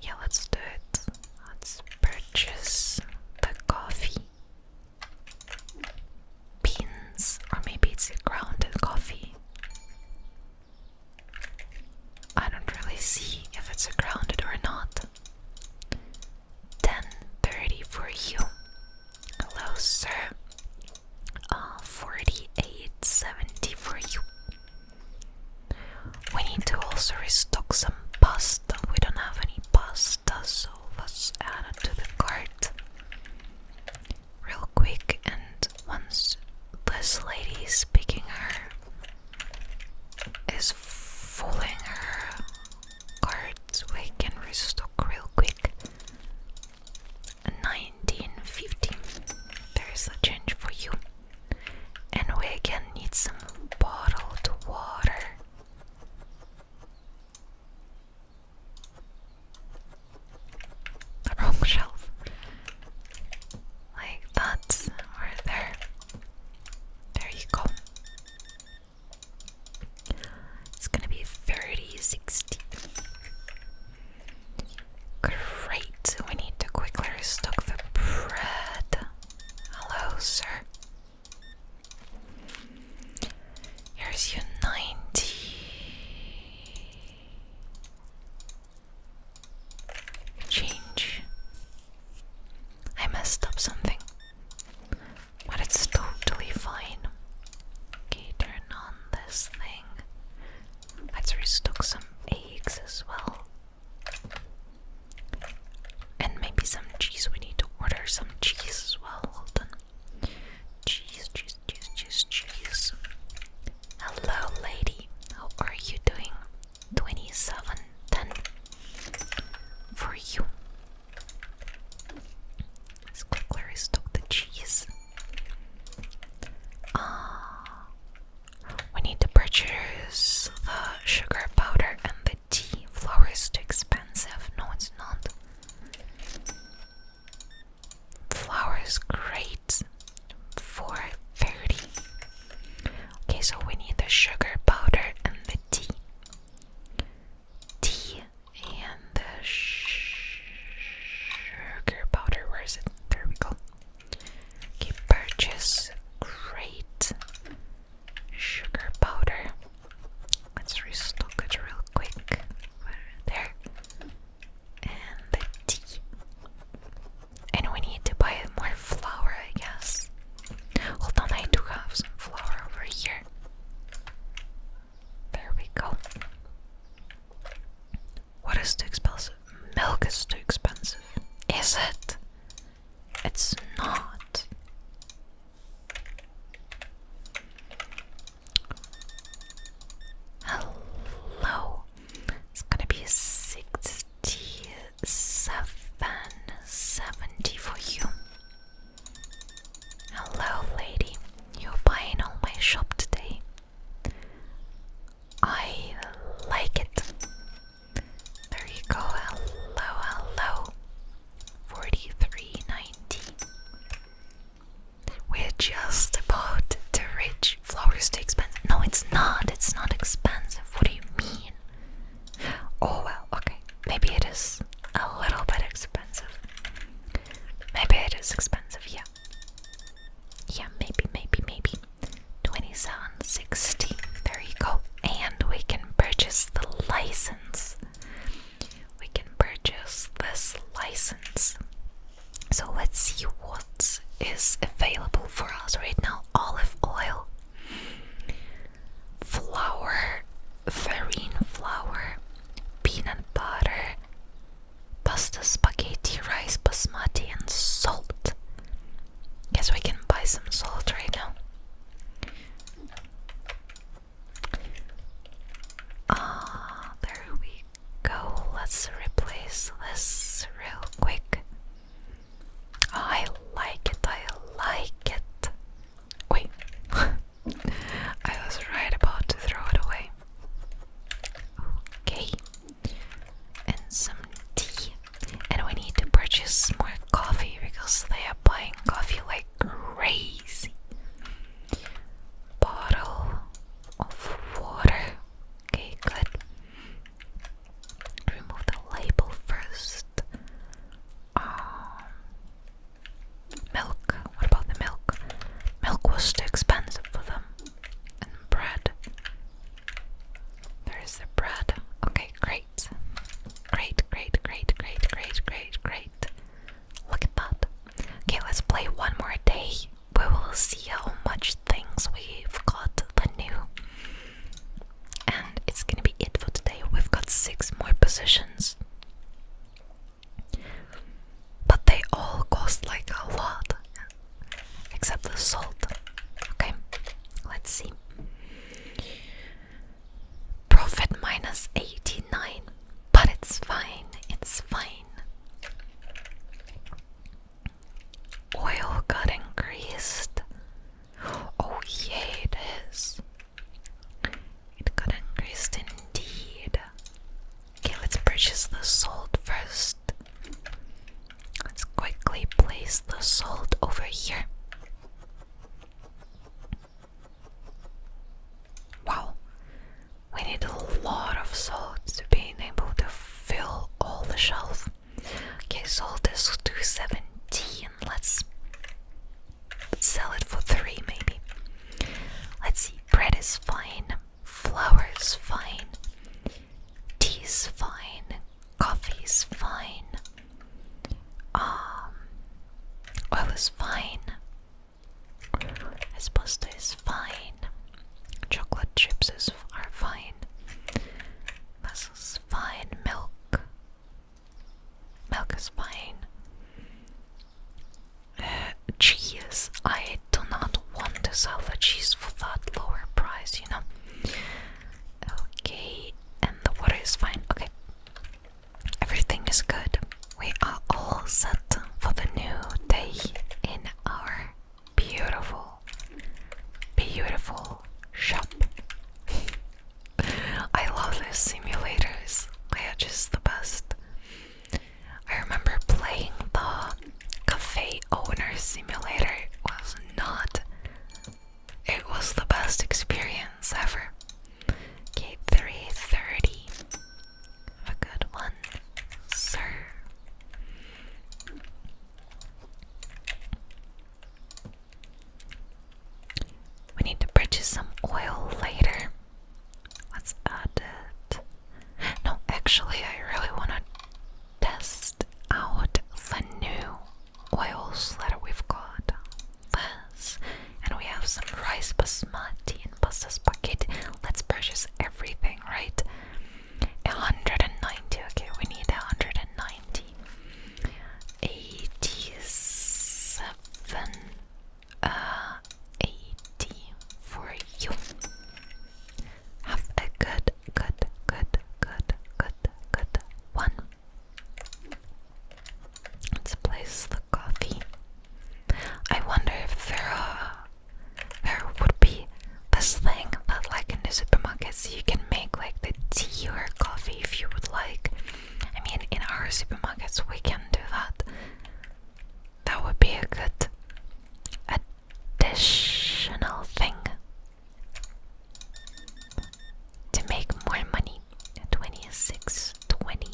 Yeah, let's do it. Let's purchase the coffee beans, or maybe it's ground coffee. I don't really see if it's grounded or not. 10.30 for you. Hello, sir. Uh, 48.70 for you. We need to also restock some pasta. We don't have any pasta, so let's to the cart real quick, and once this lady is picking her, is fooling her cards, we can restock real quick. 1915. There is a change for you. And we again need some bottled water the wrong shelf. Like that's over there. There you go. It's gonna be 30, Great, we need to quickly restock the bread. Hello, sir. Here's your 90. Change. I messed up something. But it's totally fine. Okay, turn on this thing. Let's restock some eggs as well. And maybe some cheese. We need to order some cheese as well. Hold on. Cheese, cheese, cheese, cheese, cheese. Hello, lady. How are you doing? 2710 for you. Let's quickly restock the cheese. Ah, uh, we need to purchase the sugar powder and the tea. Flour is too expensive. No, it's not. Flowers great. for 430. Okay, so we need the sugar powder and the tea. Tea and the sugar powder. Where is it? There we go. purchase great sugar powder. Let's restock it real quick. There and the tea. And we need to buy more flour, I guess. Hold on, I do have some flour over here. There we go. What is too expensive? Milk is too expensive. Is it? It's not. Hello. It's gonna be 67, for you. Hello, lady. You're buying all my shop today. I like it. There you go. Hello, hello. Forty-three ninety. We're just about to reach flowers too expensive. No, it's not. It's not expensive. What do you mean? Oh well, okay. Maybe it is a little bit expensive. Maybe it is expensive, yeah. Yeah, maybe, maybe, maybe. 2760. There you go. And we can purchase the license. We can purchase this license. So let's see what is available for us right now. Olive oil, flour, farine flour, peanut butter, pasta, spaghetti, rice, basmati, and salt. Guess we can buy some salt right now. Ah, there we go. Let's replace this real quick. I like it, I like it. Wait, [LAUGHS] I was right about to throw it away. Okay, and some tea. And we need to purchase more coffee because they are buying coffee like crazy bottle of water. Okay, good. Remove the label first. Um, milk. What about the milk? Milk was too expensive for them. And bread. There's the bread. Okay, great. Great, great, great, great, great, great, great. Look at that. Okay, let's play one more day we will see how much things we've got the new. And it's gonna be it for today. We've got six more positions. But they all cost like a lot. Except the salt. Okay, let's see. Profit minus 89. But it's fine, it's fine. Oil got increased. Oh, yeah, it is. It got increased indeed. Okay, let's purchase the salt first. Let's quickly place the salt over here. Wow, we need a lot of salt to be able to fill all the shelf. Okay, salt is 217. Let's sell it for three maybe. Let's see, bread is fine, flour is fine, tea is fine, coffee is fine, um, oil is fine, this pasta is fine. Chocolate chips are fine. Muscles fine. Milk. Milk is fine. Uh, cheese. I do not want to sell cheese for that lower price, you know. Okay, and the water is fine. Okay. Everything is good. We are all set for the new day in our beautiful, beautiful shop. [LAUGHS] I love those simulators, they are just the best. I remember playing the cafe owner simulator, it was not, it was the best experience ever. Okay, 330 a good one, sir. We need to purchase some oil later. Let's add it. No, actually, I really want to test out the new oils that we've got. This, and we have some rice basmati and pasta bucket. Let's purchase everything, right? 190. Okay, we need 190. 87. Uh, 80 for you. Have a good, good, good, good, good, good one. Let's place the coffee. I wonder if there are there would be this thing that like in the supermarkets you can make like the tea or coffee if you would like. I mean in our supermarkets we can do that. That would be a good additional thing to make more money. Twenty six twenty.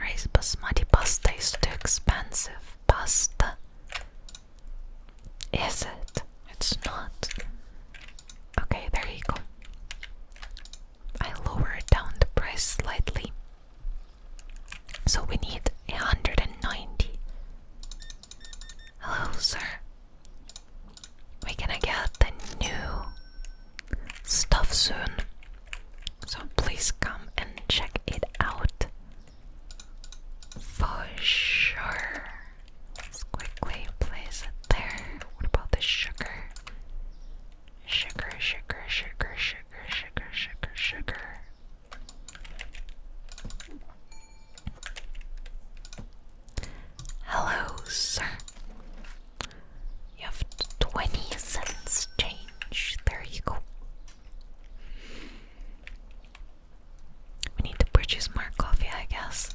Rice basmati pasta is too expensive. Pasta. Is it? It's not. Okay, there you go. I lowered down the price slightly. So we need 190. Hello, sir. we gonna get the new stuff soon. So please come and check it out for sure. Let's quickly place it there. What about the sugar? Sugar, sugar, sugar, sugar, sugar, sugar, sugar. Hello, sir. You have 20 cents change. There you go. We need to purchase more coffee, I guess.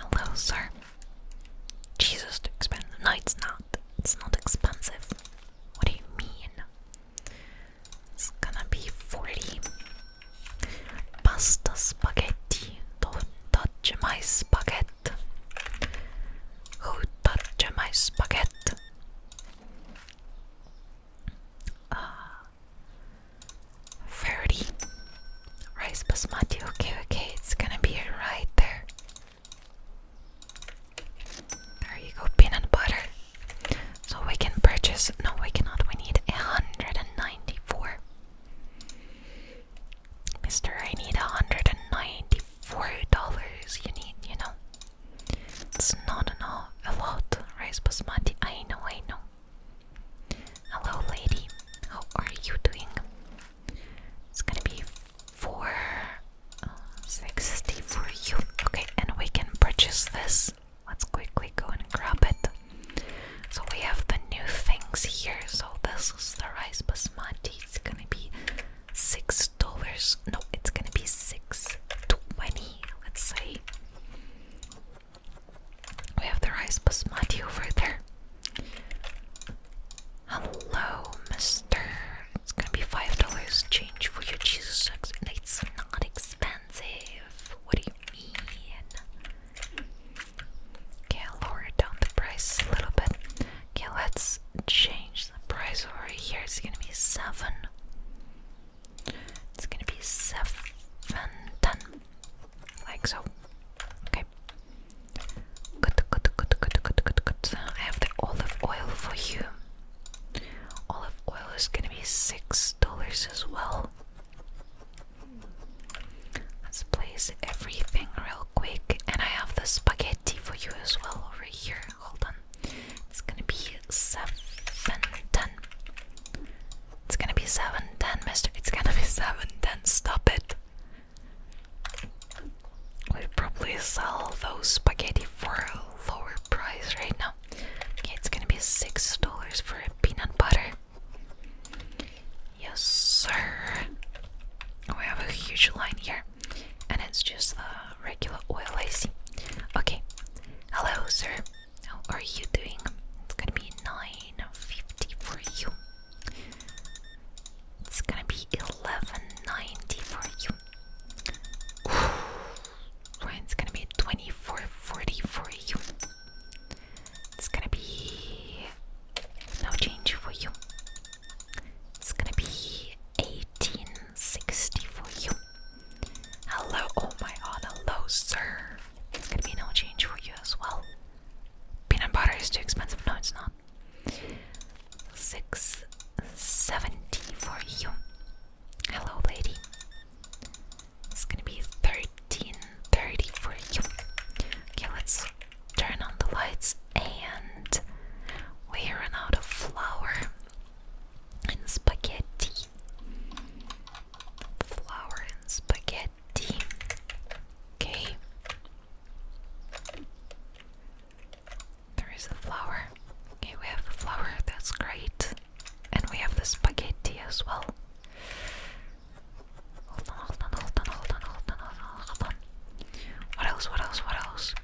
Hello, sir. Jesus, too expensive. No, it's not. It's not expensive. What do you mean? It's gonna be 40. Pasta spaghetti. Don't touch my spaghetti. Who touched my spaghetti? Uh, 30 rice basmati. Okay, okay, it's gonna be right there. There you go, peanut butter. So we can purchase. No, we cannot. We need 194. Mister, I need $194. You need, you know. It's not enough, a lot, rice basmati. I know, I know. Hello, lady. How are you doing? It's gonna be four uh, sixty for you. Okay, and we can purchase this. Let's quickly go and grab it. So we have the new things here. So this is the rice basmati. It's gonna be six dollars. No, it's gonna be six twenty, let's say. We have the rice basmati over there. Hello, mister. It's gonna be five dollars change for your cheese sex. It's not expensive. What do you mean? Okay, I'll lower down the price a little bit. Okay, let's change the price over here is gonna be seven. It's gonna be seven ten. Like so. Okay. Good, good, good, good, good, good, good. I have the olive oil for you. Olive oil is gonna be six dollars as well. Let's place everything real quick, and I have the spaghetti for you as well over here hold on. It's gonna be seven ten. It's gonna be seven ten, Mister. It's gonna be seven ten. Stop it. We probably sell those spaghetti for a lower price right now. it's gonna be six dollars for peanut butter. Yes, sir. We have a huge line here and it's just a regular oil I Okay, hello sir, how are you doing? It's gonna be 9.50 for you. It's gonna be 11.90 for you. it's gonna be 24.40 for you. It's gonna be no change for you. It's gonna be 1860 for you. Hello, oh my god, hello, sir. It's gonna be no change for you as well. Peanut butter is too expensive. No, it's not. 670 for you. Hello, lady. It's gonna be 1330 for you. Okay, let's turn on the lights and we run out of flour and spaghetti. Flour and spaghetti. Okay. There is the flour. Okay, we have the flour, that's great. And we have the spaghetti as well. Hold on, hold on, hold on, hold on, hold on, hold on, hold on. What else, what else, what else?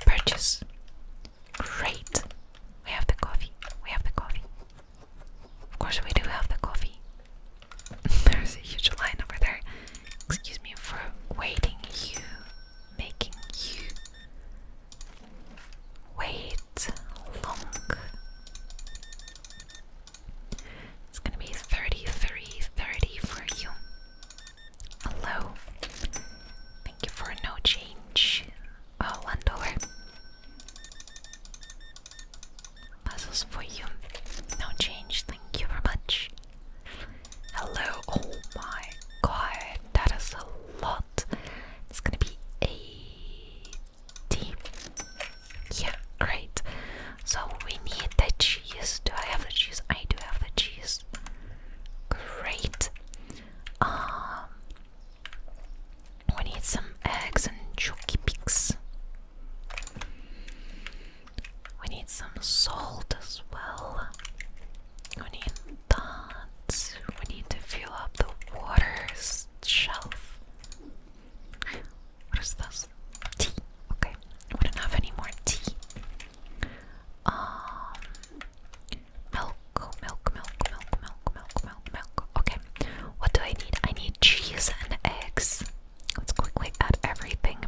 Purchase. Great. We have the coffee. We have the coffee. Of course, we do have the coffee. [LAUGHS] There's a huge line over there. Excuse me for waiting you, making you wait long. It's gonna be 33.30 30 for you. Hello. Thank you for no change. Oh, wonder. Puzzles for you. No change. Thank you very much. Hello. Oh my god. That is a lot. It's gonna be 80. Yeah, great. So we need the cheese. Do I have the cheese? I do have the cheese. Great. Um, we need some eggs and chunky pigs. We need some salt as well. We need that. We need to fill up the water shelf. What is this? Tea. Okay. We don't have any more tea. Um, milk, milk, milk, milk, milk, milk, milk, milk. Okay, what do I need? I need cheese and eggs. Let's quickly add everything.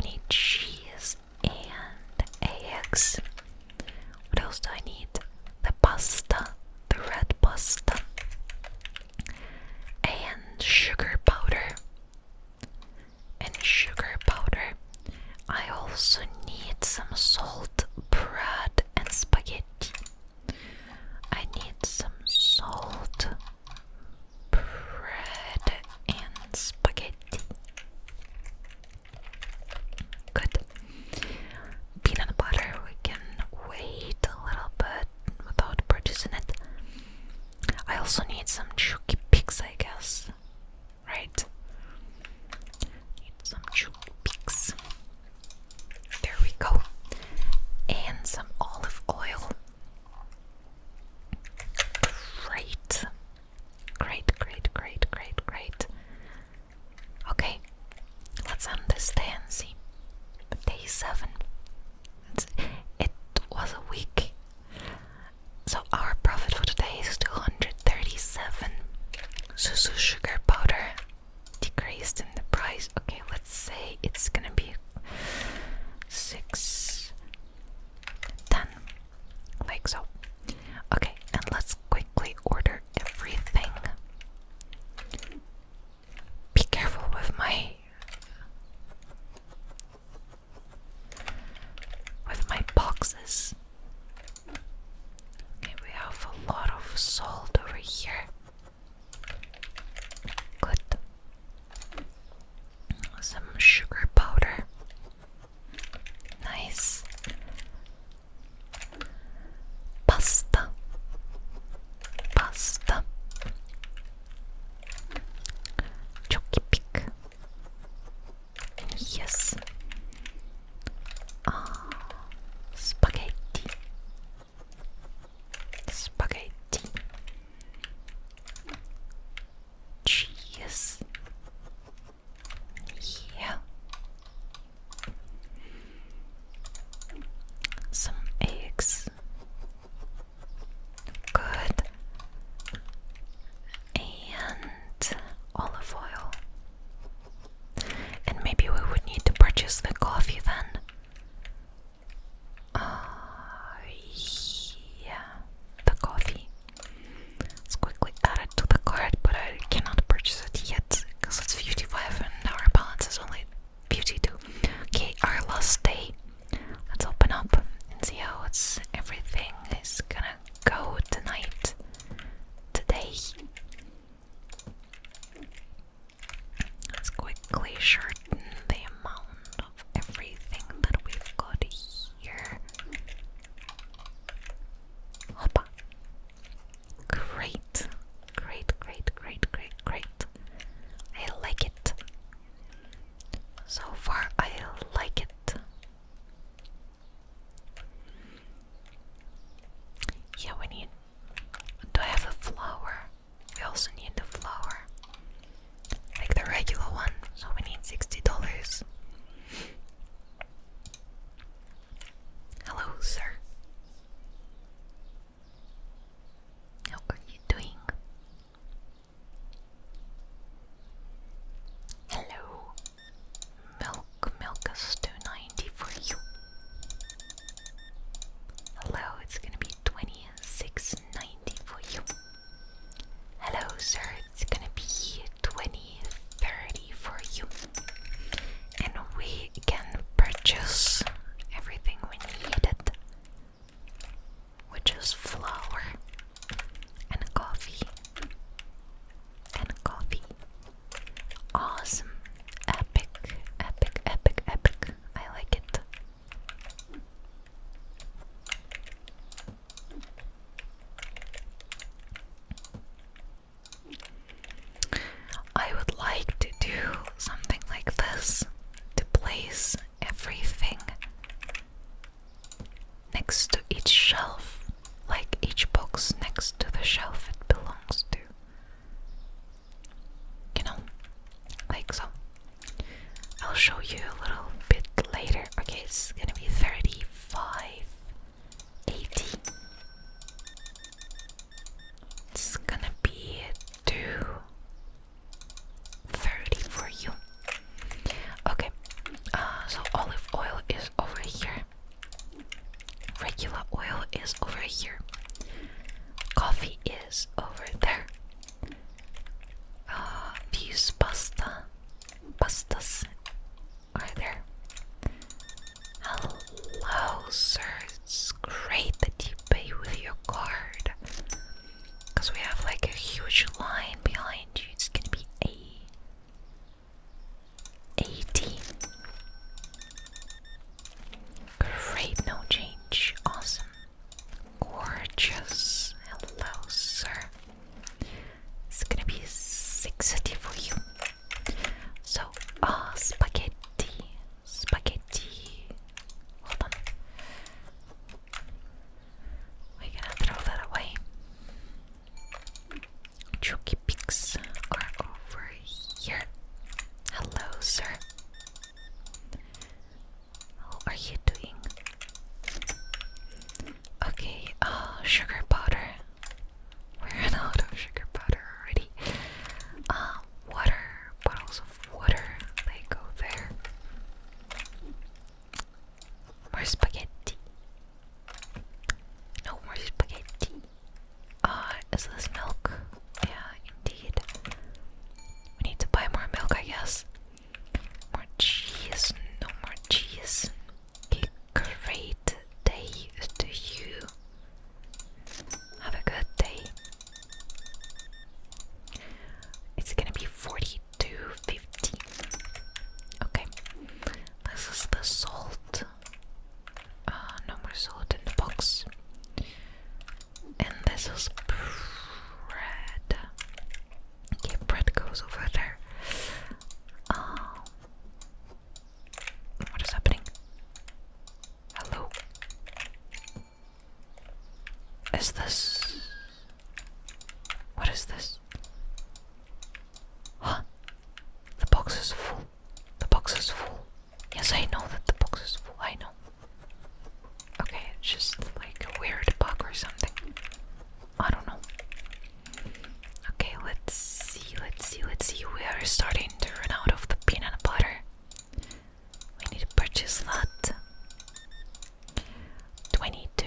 We need cheese and eggs. What else do I need? The pasta, the red pasta, and sugar powder and sugar powder. I also need some salt, bread, and spaghetti. I need some salt, bread, and spaghetti. Good. Peanut butter, we can wait a little bit without purchasing it. I also need some chucky picks, I guess right? Need some peaks. There we go. And some olive oil. Great. Great, great, great, great, great. Okay, let's understand. See, day seven. it was a week. So our profit for today is 237. Susu sugar powder decreased in the price. Okay, let's say it's gonna be six ten. Like so. Okay, and let's quickly order everything. Be careful with my with my boxes. Okay, we have a lot of salt over here. Good. Some sugar powder. Nice. Pasta. Pasta. Choki pick. Yes. Ah, spaghetti. Spaghetti. Cheese. Yeah. Some eggs. Good and olive oil. And maybe we would need to purchase the coffee then. Uh, yeah, the coffee. Let's quickly add it to the cart, but I cannot purchase it yet because it's 55 and our balance is only 52. Okay, our last day. Let's open up and see how it's everything is gonna go tonight, today. Let's quickly shorten the amount of everything that we've got here. Hoppa. Great. Great, great, great, great, great. I like it. So far, I like it. Yeah, we need. Do I have a flower? We also need the flower, like the regular one. So we need sixty dollars. Hello, sir. How are you doing? Hello. Milk, milk us to 90 for you. Hello, it's gonna be 2690 for you. Hello, sir, it's gonna be 2030 for you. And we can purchase everything we needed, which is flour and coffee and coffee. Awesome. Epic, epic, epic, epic. I like it. I would like to do something like this to place everything next to each shelf, like each box next to the shelf it belongs to. You know, like so. I'll show you a little bit later. Okay, it's gonna be 3580. It's gonna be 230 for you. Okay, uh, so olive oil is over here. Regular oil is over here. Coffee is over there. these uh, pasta, pastas are there. Hello, sir. It's great that you pay with your card. Because we have like a huge line behind you. It's gonna be a 18. Great, no change. Awesome. Gorgeous. Hello, sir. It's gonna be 60 for you. So, uh, spaghetti. Spaghetti. Hold on. We're gonna throw that away. Chucky picks are over here. Hello, sir. How are you doing? Okay, uh, sugar powder. We're out of sugar powder already. Uh, water, bottles of water, they go there. More spaghetti. No more spaghetti. Uh, is this milk? Yeah, indeed. We need to buy more milk, I guess. More cheese. No more cheese. great day to you. Have a good day. It's gonna be 42.50. Okay, this is the salt. Ah, no more salt in the box. And this is bread. bread goes over there. Um, what is happening? Hello? Is this. What is this? Huh? The box is full. The box is full. Yes, I know that the box is full. I know. Okay, it's just like a weird bug or something. I don't know. Okay, let's see, let's see, let's see. We are starting to run out of the peanut butter. We need to purchase lot 22,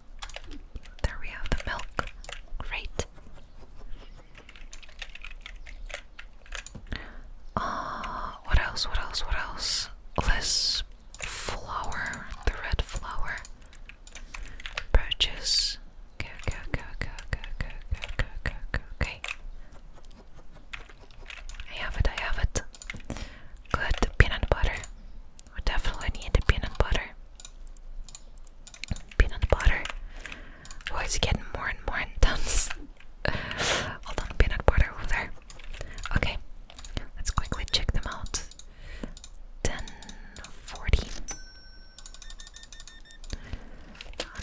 There we have the milk. Great. Uh, what else? What else? What else? This flower, the red flower. Purchase. Go, go, go, go, go, go, go, go, go, go. Okay. I have it, I have it. Good peanut butter. We definitely need the peanut butter. Peanut butter. Oh, it's getting more and more intense. [LAUGHS] Hold on, peanut butter over there. Okay, let's quickly check them out. 1040.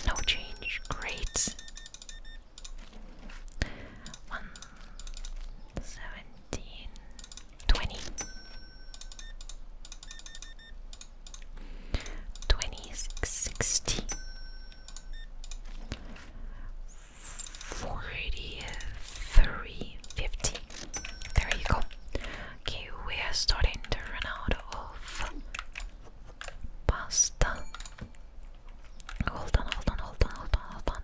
no change. Great. One seventeen 20. There you go. Okay, we are starting to run out of pasta. Hold on, hold on, hold on, hold on, hold on.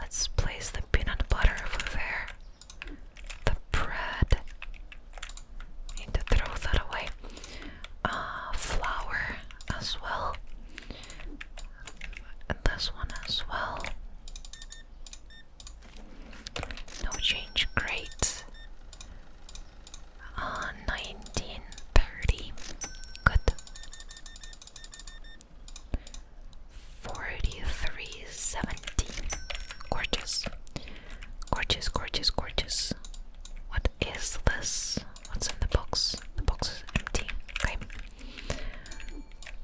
Let's place the peanut butter over there the bread. Need to throw that away. Uh, flour as well. this one as well. No change, great. 1930, uh, good. Forty-three seventeen. Gorgeous. Gorgeous, gorgeous, gorgeous. What is this? What's in the box? The box is empty. Okay.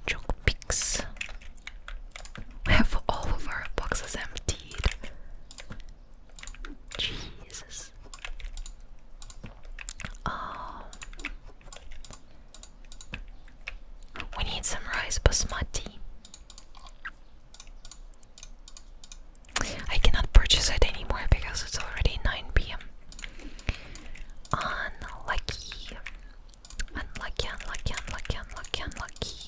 Joke picks. We have all of our boxes emptied. Jesus. Oh. We need some rice basmati. I cannot purchase it anymore because it's already 9 pm. Unlucky. Unlucky, unlucky, unlucky, unlucky, unlucky.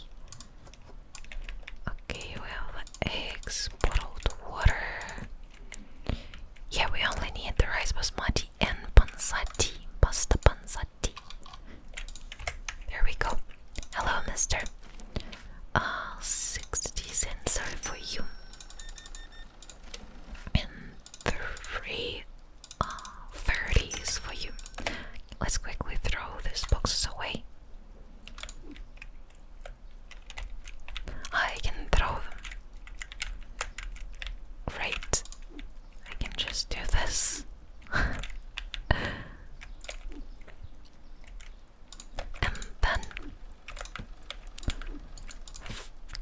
Okay, we have eggs, bottled water. Yeah, we only need the rice basmati and pansati. Pasta pansati. There we go. Hello, mister. Uh, 60 cents are for you. And three uh, 30s for you. Let's quickly throw this box away. I can throw them. Right. I can just do this. [LAUGHS] and then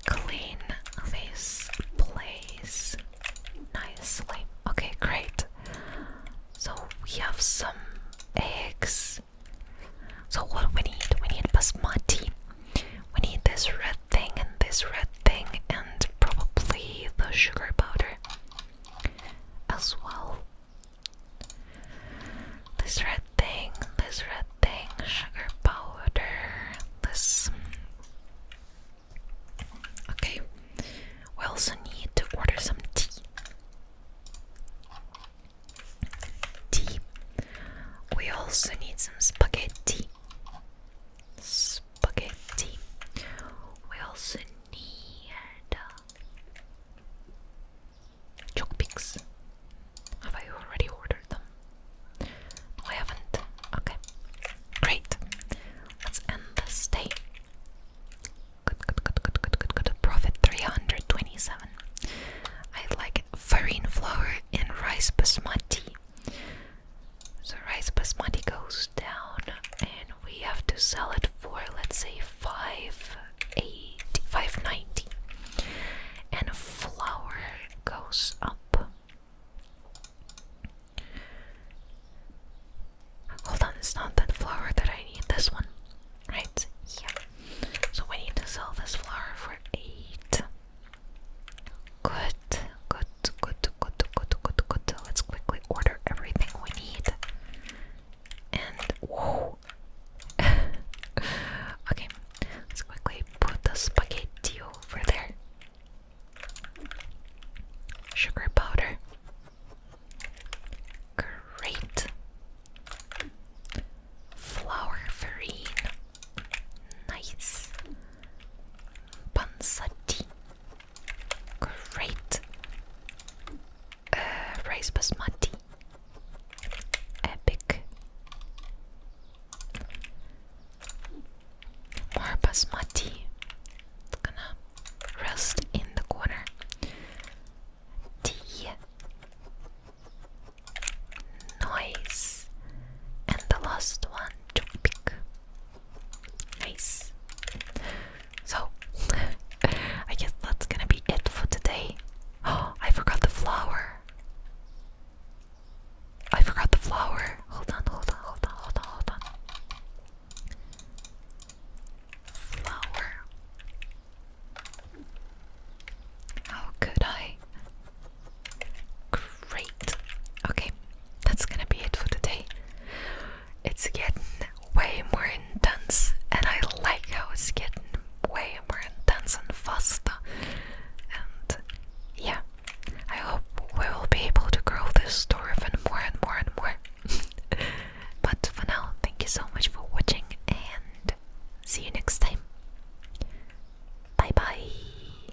clean this place nicely. Okay, great. So we have some eggs. So what we need? We need basmati. We need this red thing and this red thing and probably the sugar powder as well. This red thing, this red thing, sugar powder, this. Okay, we also need to order some tea. Tea. We also need some spaghetti spaghetti. We also need chalk picks. Have I already ordered them? I haven't. Okay, great. Let's end the day. Good, good, good, good, good, good, good. Profit 327. I like farine flour and rice basmati. So rice basmati goes down, and we have to sell it for let's say five eight five ninety, and flour goes up. Hold on, it's not that flour that I need. This one, right? Yeah. So we need to sell this flour for eight. Good. Good, good, good, good, good, good. Let's quickly order everything we need. And whoa. [LAUGHS] okay, let's quickly put the spaghetti over there. Sugar powder. Great. Flour farine. Nice. Pansati. Great. Uh, basmati. Epic. More basmati. gonna rest in the corner. Tea. Noise. And the last one, toothpick. Nice. So, [LAUGHS] I guess that's gonna be it for today. [GASPS] I forgot the flower. I forgot the flower. Hold on, hold on, hold on, hold on, hold on. Flower. How could I? Great. Okay, that's gonna be it for today it's getting way more intense, and I like how it's getting way more intense and faster. And yeah, I hope we will be able to grow this store even more and more and more. [LAUGHS] but for now, thank you so much for watching, and see you next time. Bye bye.